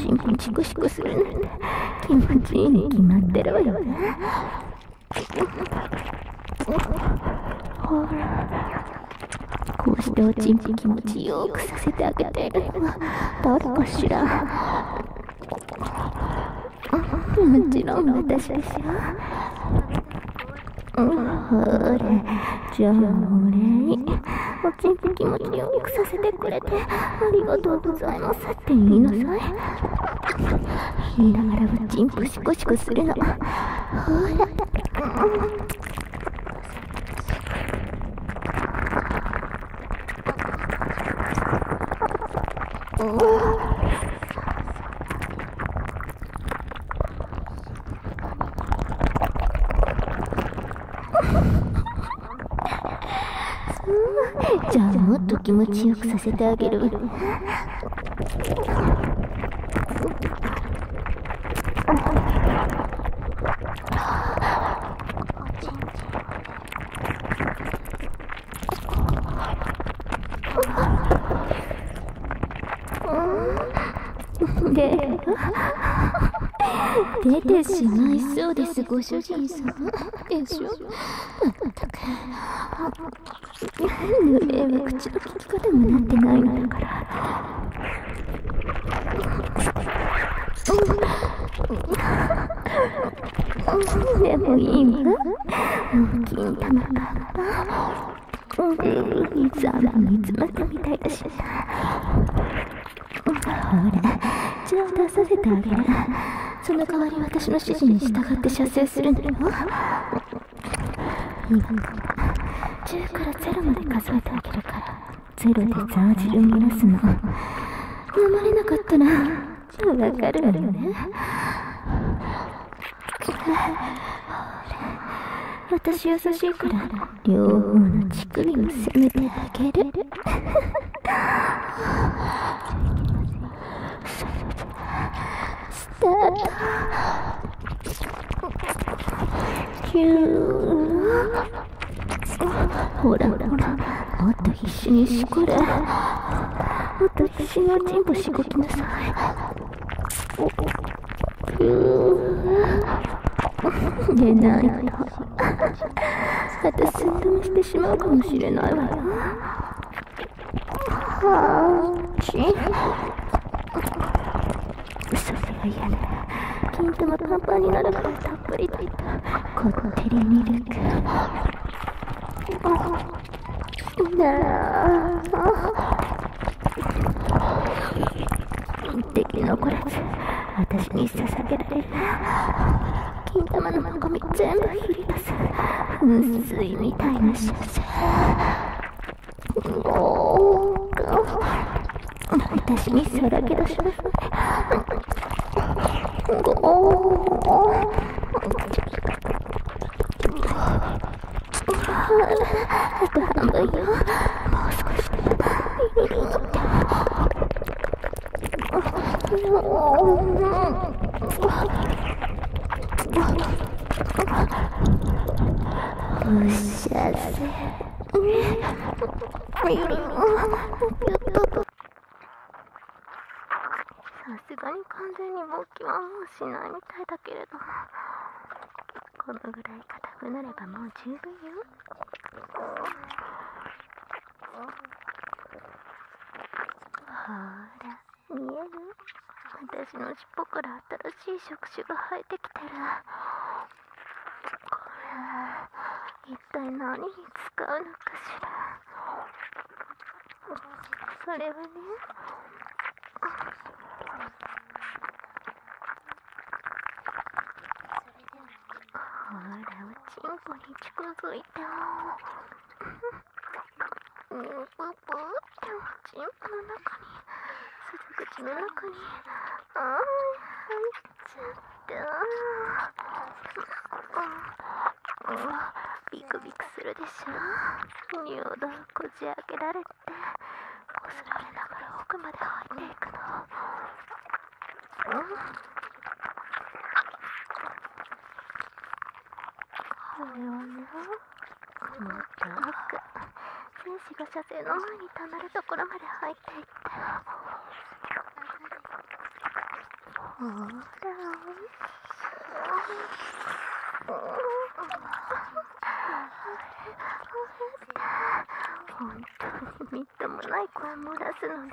チンコチクシクするなんて気持ちいいに決まってるわよねほらこうしておちんぽ気持ちよくさせてあげてるのは誰かしらもちろん私でしょほら、じゃあお礼におちんぽ気持ちよくさせてくれれありがとうございますって言いなさい言いながらはチンプシコシコするのほらじゃあもっと気持ちよくさせてあげる。出てしまいそうですご主人様でしょまったくえは口の利き方もなってないのだからでもいいわ金玉がいざ煮詰まったみたいだしほら一度出させてあげるその代わり私の指示に従って射精するのよ今から10から0まで数えてあげるから0でザージルを揺らすの飲まれなかったらわかるわよねほ私優しいから両方の血乳首も責めてあげるスタートキューほらほらもっと必死にしこれもっおちんぽしごきなさいおキュー寝ないと私寸止めしてしまうかもしれないわよはあちそれが嫌ね金玉パンパンになるからたっぷりと言ったこってりミルクなあ一滴残らず私に捧げられ金玉のゴミ全部振り出す噴水みたいな習性おお私ミスをけどしますねおおあと半分よもう少しすがに完全に勃起はもうしないみたいだけれどこのぐらい硬くなればもう十分よほら見える私の尻尾から新しい触手が生えてきてるこれいったい何に使うのかしらそれはねほらおちんこに近づいとパパっておちんこの中にすず口の中にあー入っちゃったもうビクビクするでしょ尿道こじ開けられてこすられながら奥まで入っていくの。細かく天使が射精の前にたまるところまで入っていってほら本当にみっともない声もらすのね。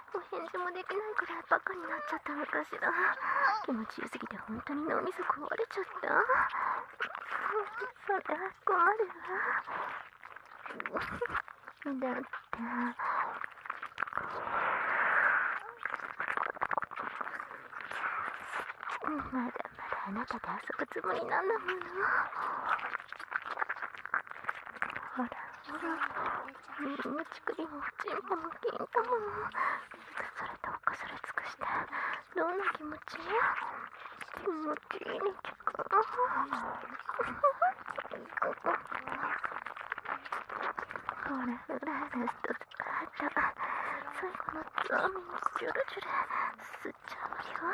お返事もできないくらいバカになっちゃったのかしら気持ちよすぎて本当に脳みそ壊れちゃったそりゃ困るわだってまだまだあなたと遊ぶつもりなんだものほらほら乳首もチンポもキンポもそれとおかそれ尽くしてどんな気持ち気持ちいいに聞くほらフラーレスとスカート最後のつまみにジュルジュル吸っちゃうよ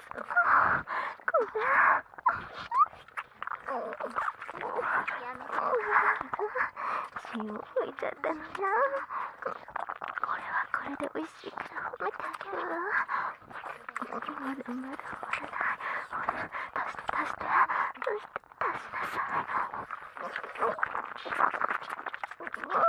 血を拭いちゃったのじゃこれはこれで美味しいから褒めてあげるわまだまだ終わないほら足して足して足して足しなさい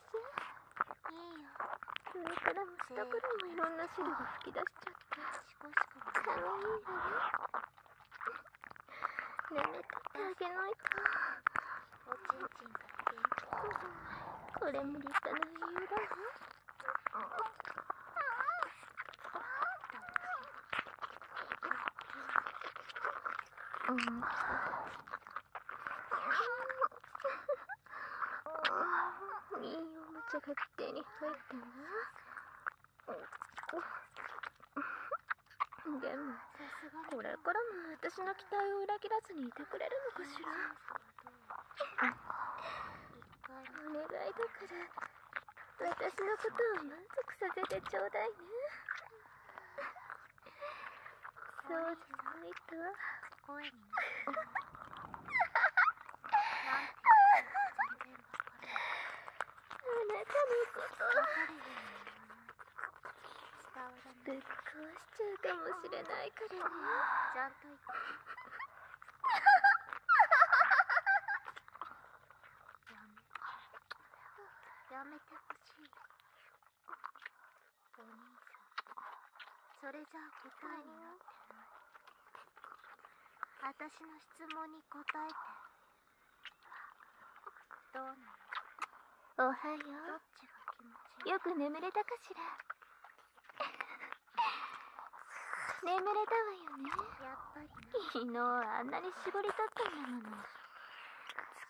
上からも下からもいろんな汁が吹き出しちゃってかわいいわね眠てあげないとおちんちんが元気これも立派な理由だわうん。いいおもちゃが手に入ったなでもこれからも私の期待を裏切らずにいてくれるのかしらお願いだから私のことを満足させてちょうだいねそうじゃないとは。声になる。あなたのことぶっ壊しちゃうかもしれないからねちゃんと言ってやめやめてほしいお兄さんそれじゃあ答えになってない私の質問に答えてどうなのおはようよく眠れたかしら 眠れたわよねやっぱり昨日あんなに絞り取ったんだもの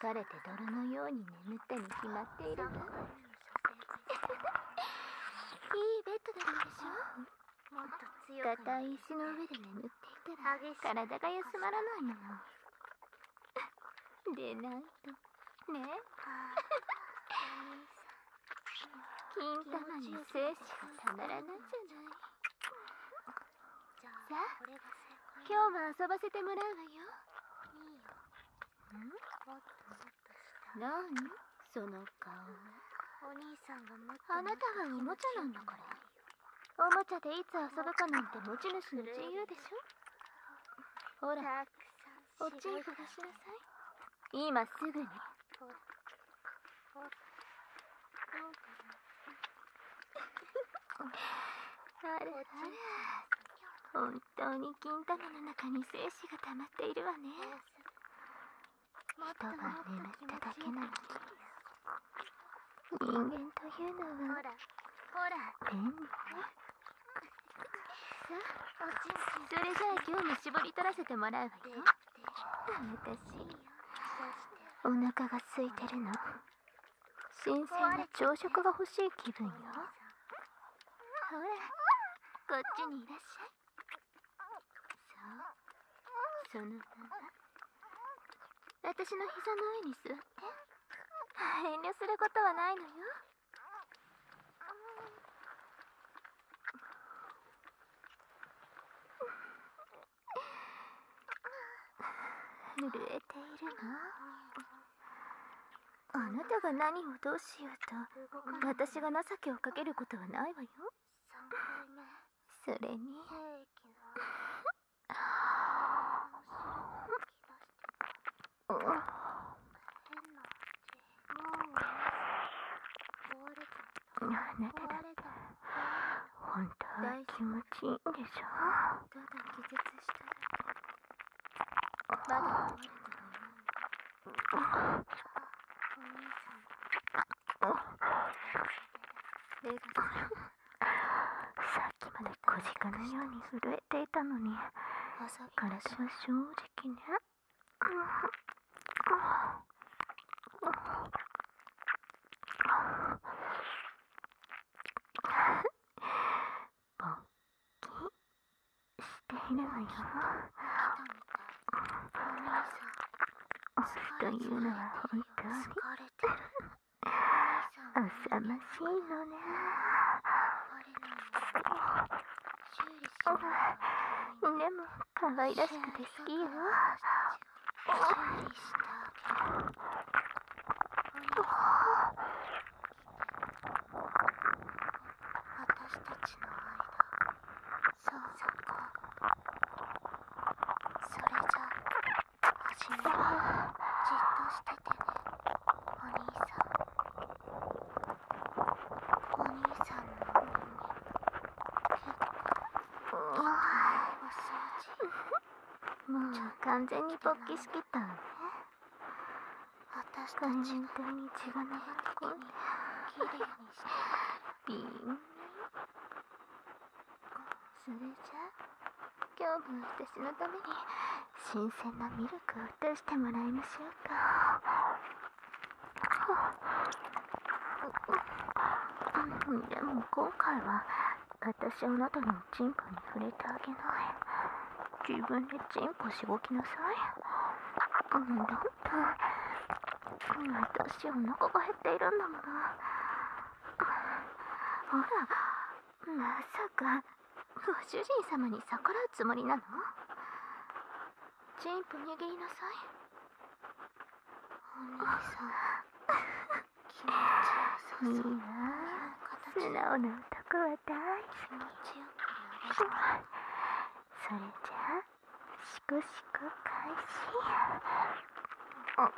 疲れて泥のように眠ったに決まっているいいベッドなんでしょ硬い石の上で眠っていたら体が休まらないのでないとねえ金玉に精子がたまらないじゃないさあ今日も遊ばせてもらうわよ何その顔お兄さんがあなたはおもちゃなんだからおもちゃでいつ遊ぶかなんて持ち主の自由でしょほらお茶を探しなさい今すぐにあれあれ本当に金玉の中に精子が溜まっているわね人が眠っただけなのに人間というのは便利ねそれじゃあ今日も絞り取らせてもらうわよお腹が空いてるの新鮮な朝食が欲しい気分よほらこっちにいらっしゃいそうそのまま私の膝の上に座って遠慮することはないのよ震えているのあなたが何をどうしようと私が情けをかけることはないわよそれにあなただって本当気持ちいいんでしょただ気絶しただけまだ取れてるね。お兄さん。目がさっきまで小ないように震えていたのに、体は正直ね。しているわよ。おというのは本当に浅ましいのね。でも可愛らしくて好きよ。おお私たちの間そうそこそれじゃ始めるじっとしててねお兄さんお兄さんの耳結構いいお掃除もう完全に勃起しきったわね私たちの道がねこにきれいにしてビンビン…それじゃ今日も私のために新鮮なミルクを出してもらいましょうか。でも今回は私あなたのチンコに触れてあげない。自分でチンコしごきなさいあのロンタン私お腹が減っているんだものほらまさかご主人様に逆らうつもりなのチンプ握りなさいお兄さん気持ちよさそういいな素直なくわたいそれじゃしくしく開始ああ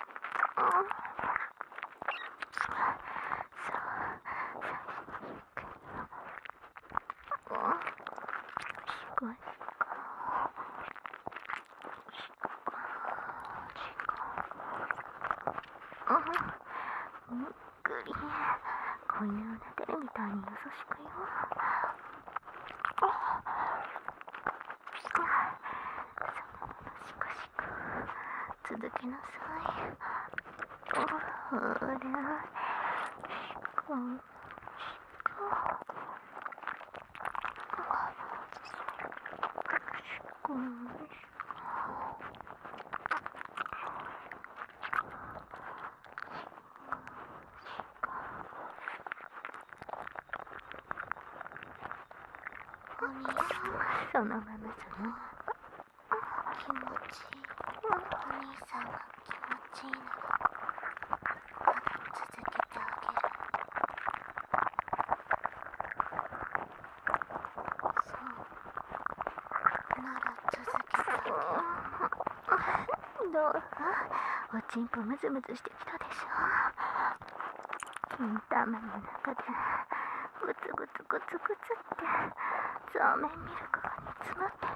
嗯。くりこういうおねみたいに優しくよ続けなさい。ほら、こんこんは、お兄さんそのままそのまま気持ちいいお兄さんは気持ちいいのまだ続けてあげるそうなら続けたけどどうおちんぽムズムズしてきたでしょ金玉の中でグツグツグツグツってザーメンミルクが煮詰まってる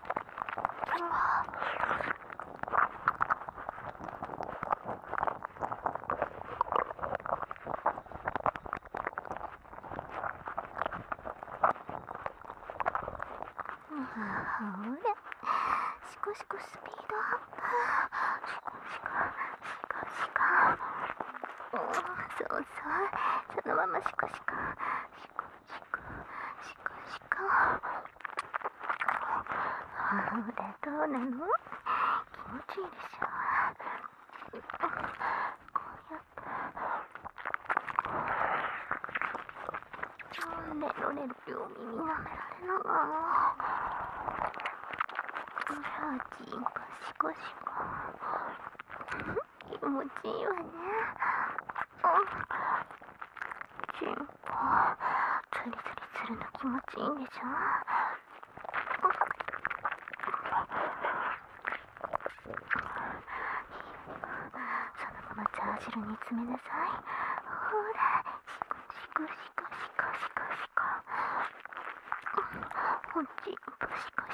ほれ シコシコスピードアップシコシコシコシコそうそうそのままシコシコシコシカシカほらどうなの気持ちいいでしょこうやって寝ろ寝ろ耳舐められながらほらチンコシコシコ気持ちいいわねチンポツリツリするの気持ちいいんでしょそのままチー汁に詰めなさいほらシコシコシコシコシコおちんぽシコシ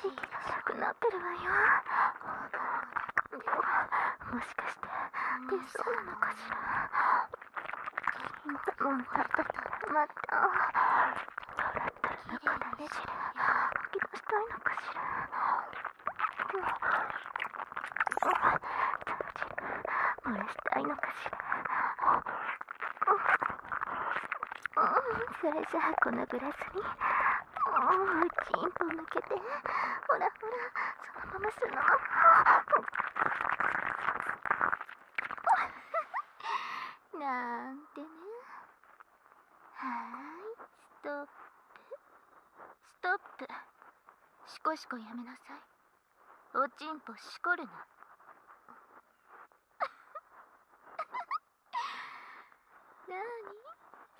息がなくなってるわよもしかして出そうなのかしらもうたたたまったトラトラの体ねじれ吐き出したいのかしらもうたじれ漏らしたいのかしらんそれじゃあこのグラスにおおチンポ向けてほらほらそのまますのなんてねはーいストップストップしこしこやめなさいおちんぽしこるな なに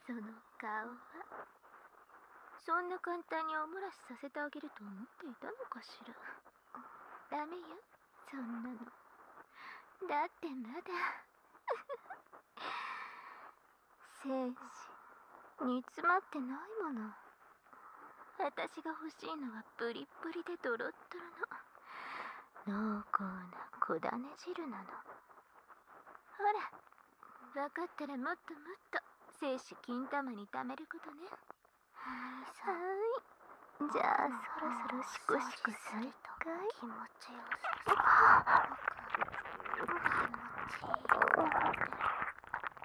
その顔はそんな簡単にお漏らしさせてあげると思っていたのかしらダメよそんなのだってまだ 精子煮詰まってないもの私が欲しいのはプリップリでドロッドロの濃厚な小種汁なのほら分かったらもっともっと精子金玉に貯めることねはいじゃあそろそろシコシコ再開気持ちよさそう気持ちいい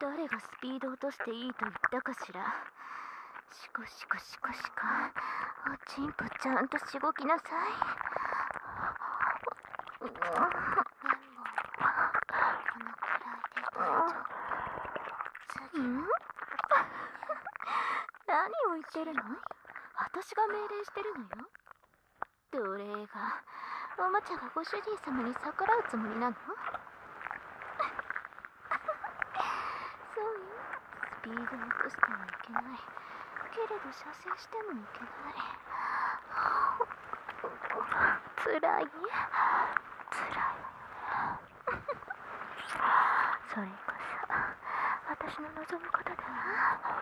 誰がスピード落としていいと言ったかしらしこしこしこおちんこちゃんとしごきなさい、うん、綿棒はこのくらいで大丈夫次、何を言ってるの私が命令してるのよ奴隷がママちゃがご主人様に逆らうつもりなの そうよスピードを落としてはいけないけれど射精してもいけないつら いつらい それこそ私の望むことだわ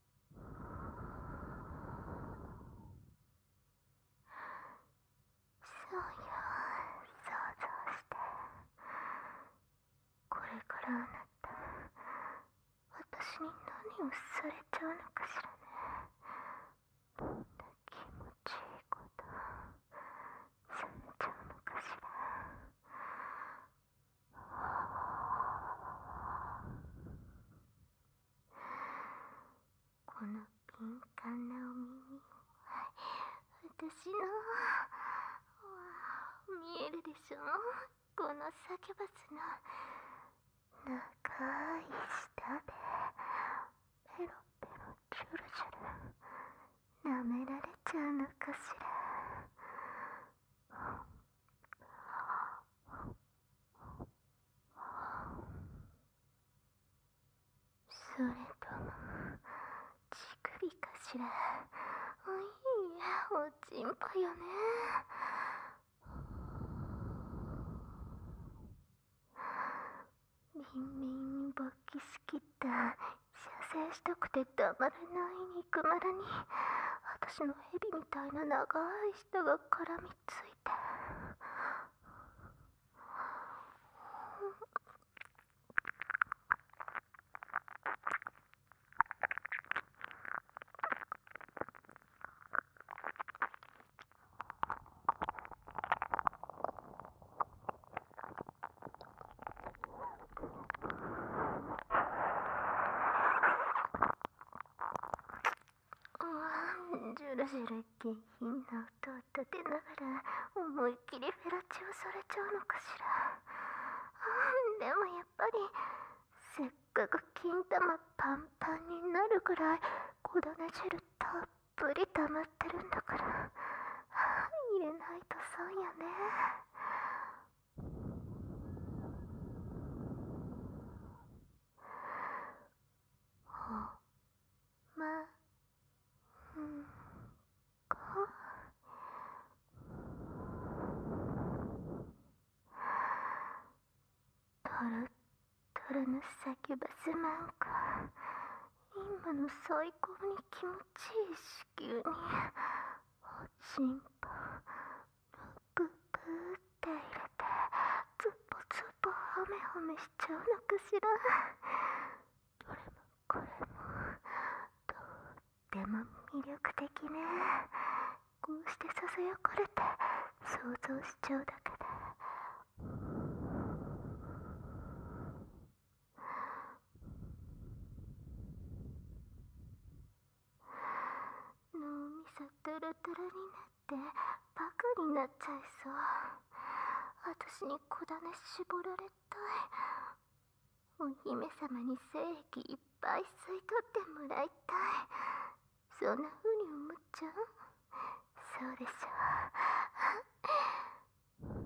そうよ想像してこれからあなた私に何をされちゃうのかしらねこんな気持ちいいことされちゃうのかしらこの敏感なお耳を私の見えるでしょこのサキュバスの長い舌でペロペロチュルチュル舐められちゃうのかしらそれとも乳首かしらいやおちんぱよねみんみんに勃起しきった射精したくてたまらない肉まらにしの蛇みたいな長い下が絡みついて。ジュラジュラ下品な音を立てながら思いっきりフェラチオされちゃうのかしらでもやっぱりせっかく金玉パンパンになるくらい粉ね汁たっぷり溜まってるんだから入れないと損やねん・のサ叫バスまんか今の最高に気持ちいい子宮におちんぽくくって入れてツボツボハメハメしちゃうのかしらどれもこれもとっても魅力的ねこうしてささやかれて想像しちゃうだけで脳みそトゥルトゥルになってバカになっちゃいそうあたしに小種絞られたいお姫様に精液いっぱい吸い取ってもらいたいそんな風に思っちゃうそうでしょうあ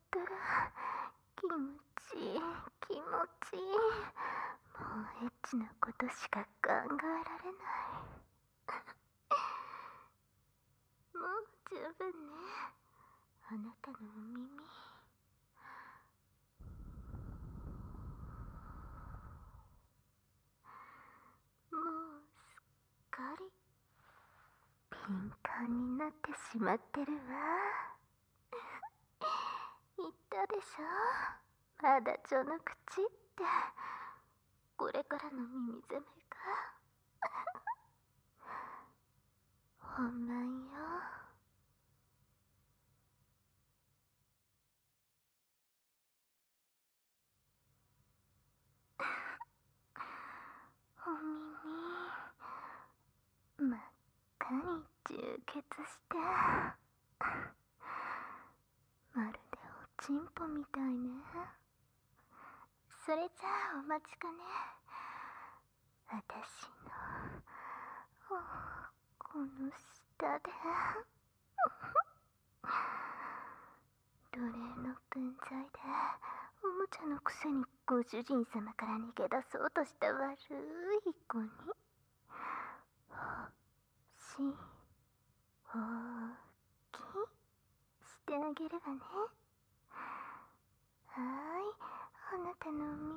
った気持ちいい気持ちいいもうエッチなことしか考えられないもう十分ねあなたのお耳もうすっかり敏感になってしまってるわ。言ったでしょまだ序の口ってこれからの耳攻めか 本番よお耳まかに充血してまるでおちんぽみたいねそれじゃあお待ちかね私のこの下で奴隷の分際でおもちゃのくせにご主人様から逃げ出そうとした悪い子にしおきしてあげるわねはいあなたのお耳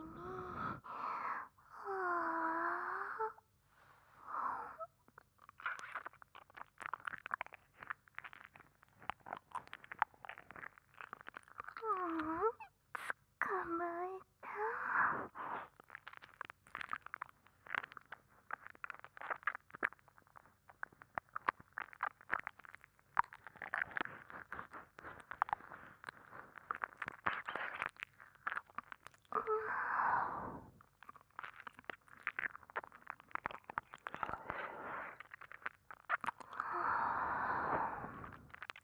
構えた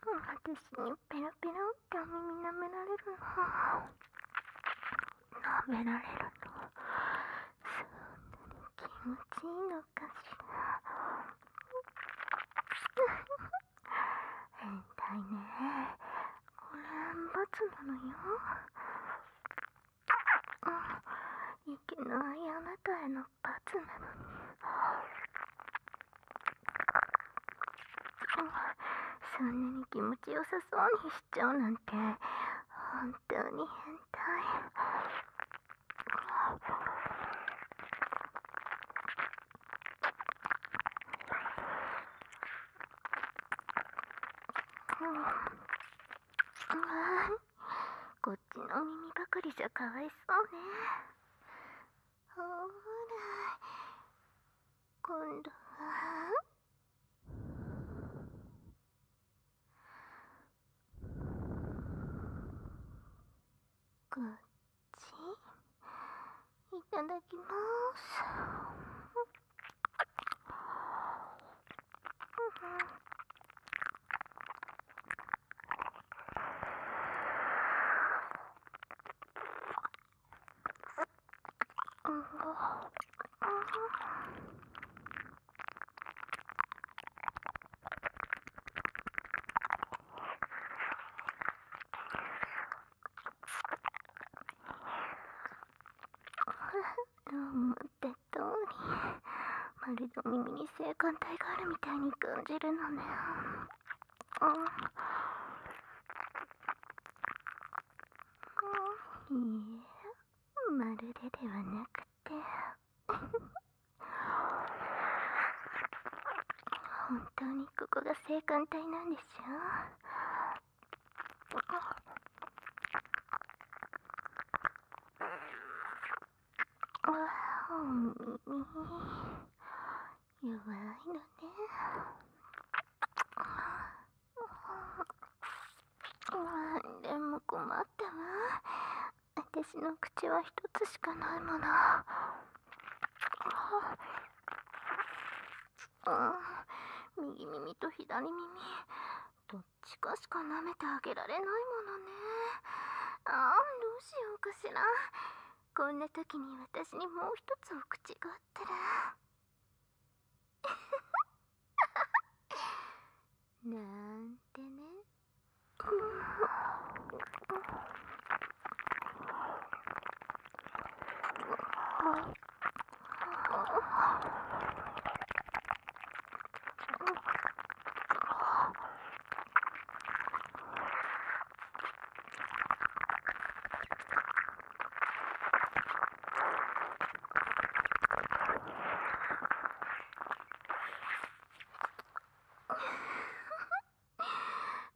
私にペロペロってお耳舐められるの舐められると、そんなに気持ちいいのかしら変態ねこれつなのよいきないあなたへの発なのにそんなに気持ちよさそうにしちゃうなんて本当に変態こっちの耳ばかりじゃかわいそうね。ほら今度はこっちいただきます思って通りまるで耳に性感帯があるみたいに感じるのね。いいえまるでではなくて本当にここが青函帯なんでしょ弱いのね。でも困ったわ。私の口は一つしかないもの。右耳と左耳、どっちかしか舐めてあげられないものね。ああ、どうしようかしら。こんな時に私にもう一つお口があったら なんてね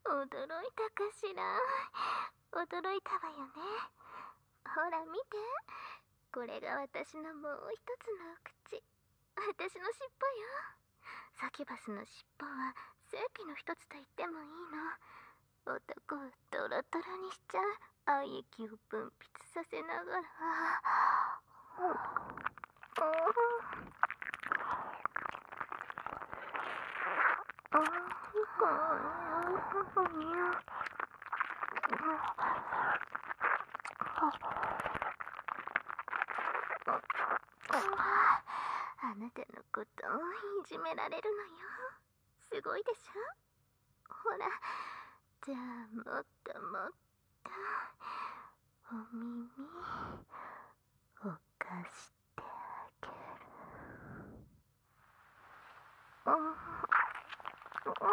驚いたかしら驚いたわよねほら見てこれが私のもう一つのお口私の尻尾よサキバスの尻尾は正規の一つと言ってもいいの男をトロトロにしちゃ愛液を分泌させながら Oh. あなたのこといじめられるのよすごいでしょほらじゃあもっともっとお耳を貸してあげるん、おおお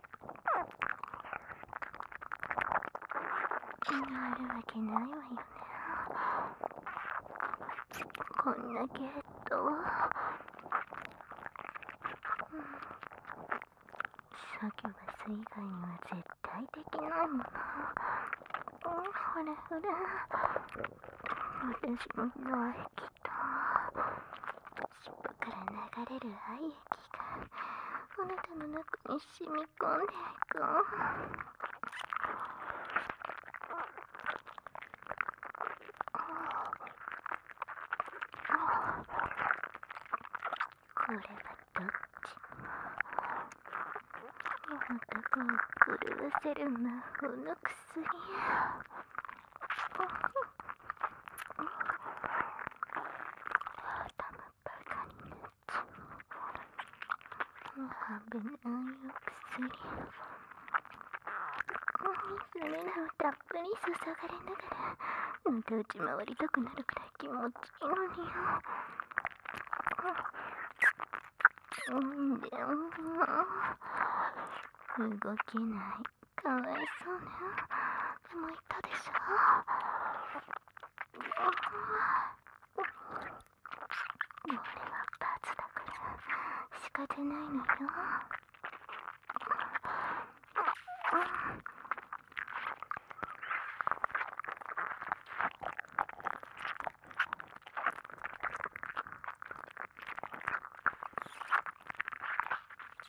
あるわけないわよねこんなゲット、うん、サキュバス以外には絶対できないもの、ほん、ほれわたしも泣きた尻尾から流れる愛液がお腹の中に染み込んでいくこれはどっち男を狂わせる魔法の薬 I've been on your city. それらをたっぷり注がれながら、また打ち回りたくなるくらい気持ちいいのによ。うん、でも、動けない。かわいそうねでも言ったでしょ俺は罰だから仕方ないのよ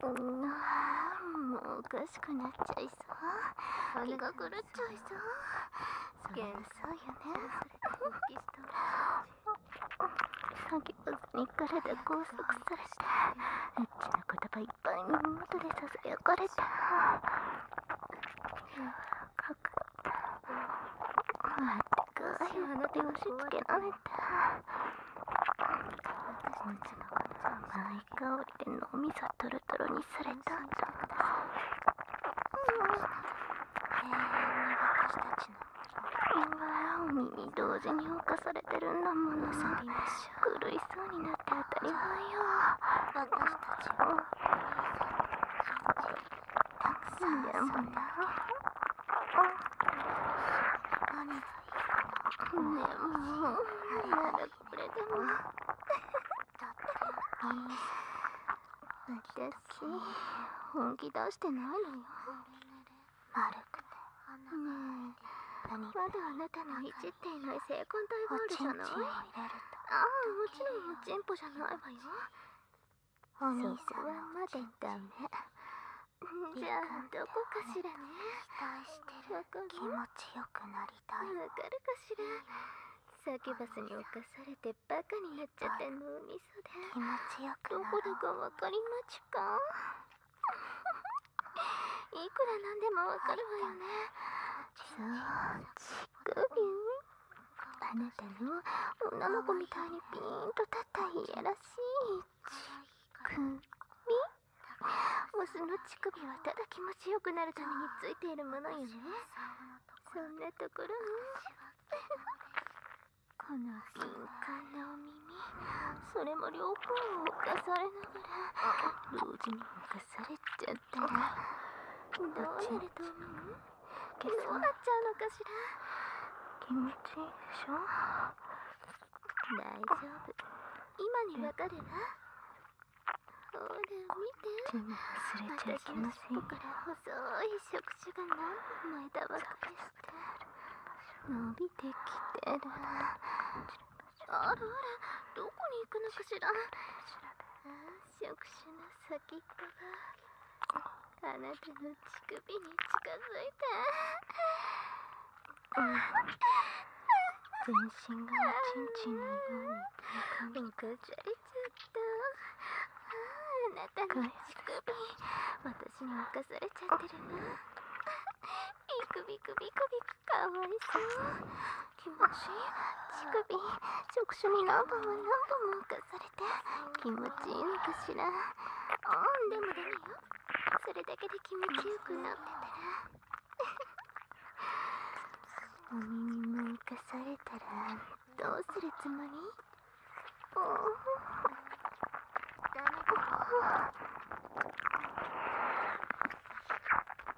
うんもうおかしくなっちゃいそう気が狂っちゃいそう幻想よね詐欺バスに体拘束されてエッチな言葉いぱいのもとでささやかれた柔らかくてあってかいあの手押し付けられてこっちの甘い香りで脳みそトロトロにされたんじゃ…だ私たちの今おに同時に侵されてるんだものさびます狂いそうになって当たり前よ私たちもたん遊んだでもな何がいいなねもうなられでもだって私本気出してないのよ丸くてねえまだあなたのいじっていない性感帯があないああもちろんチンポじゃないわよお兄はまだダメじゃあどこかしらね期してる気持ちよくなりたいわかるかしらサキバスに侵されてバカになっちゃった脳みそで気持ちよくどこだかわかりまちかいくらなんでもわかるわよねそう乳首あなたの女の子みたいにピーンと立ったいやらしい乳首オスの乳首はただ気持ちよくなるためについているものよねそんなところこの敏感なお耳それも両方を犯されながら同時に犯さされちゃったなどうなると思うどうなっちゃうのかしら気持ちいいでしょ大丈夫今にわかるわほら見て忘れちゃいけませんから細い触手が何枚だばかりして伸びてきてるあらあらどこに行くのかしらああ触手の先っぽがあなたの乳首に近づいた、うん、全身がおちんちんのように浮かされちゃったあなたの乳首私に浮かされちゃってるなビクビクビクビクかわいそう気持ちいい乳首触手に何本も何本も浮かされて気持ちいいのかしらうんでもダメよそれだけで気持ちよくなってたら お耳も浮かされたらどうするつもりおダメだよ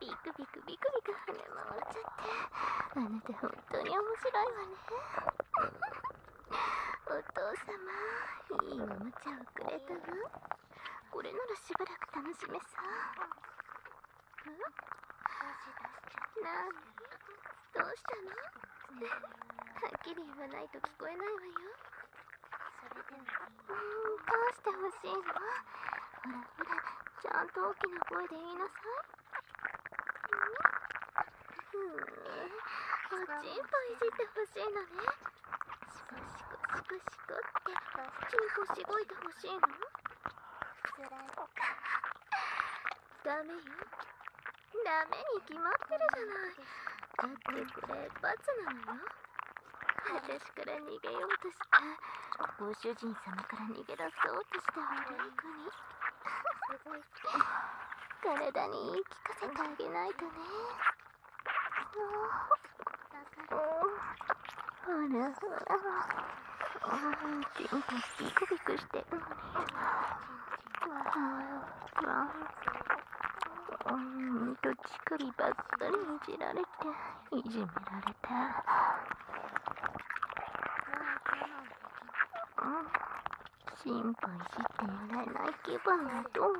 ビクビクビクビク跳ね回っちゃってあなた本当に面白いわねお父様いいおもちゃをくれたわこれならしばらく楽しめさなどうしたのはっきり言わないと聞こえないわようどうしてほしいのほらほらちゃんと大きな声で言いなさいうん、おちんぽいじってほしいのねしくしくしくしくってちんこしいてほしいのつらいダメよダメに決まってるじゃないだってこれ罰なのよ私から逃げようとしてご主人様から逃げ出そうとしたほどいに体に言い聞かせてあげないとねあらそらチンコビクビクしてるのにわあうんと乳首ばっかりいられていじめられて心配していらない気分はどう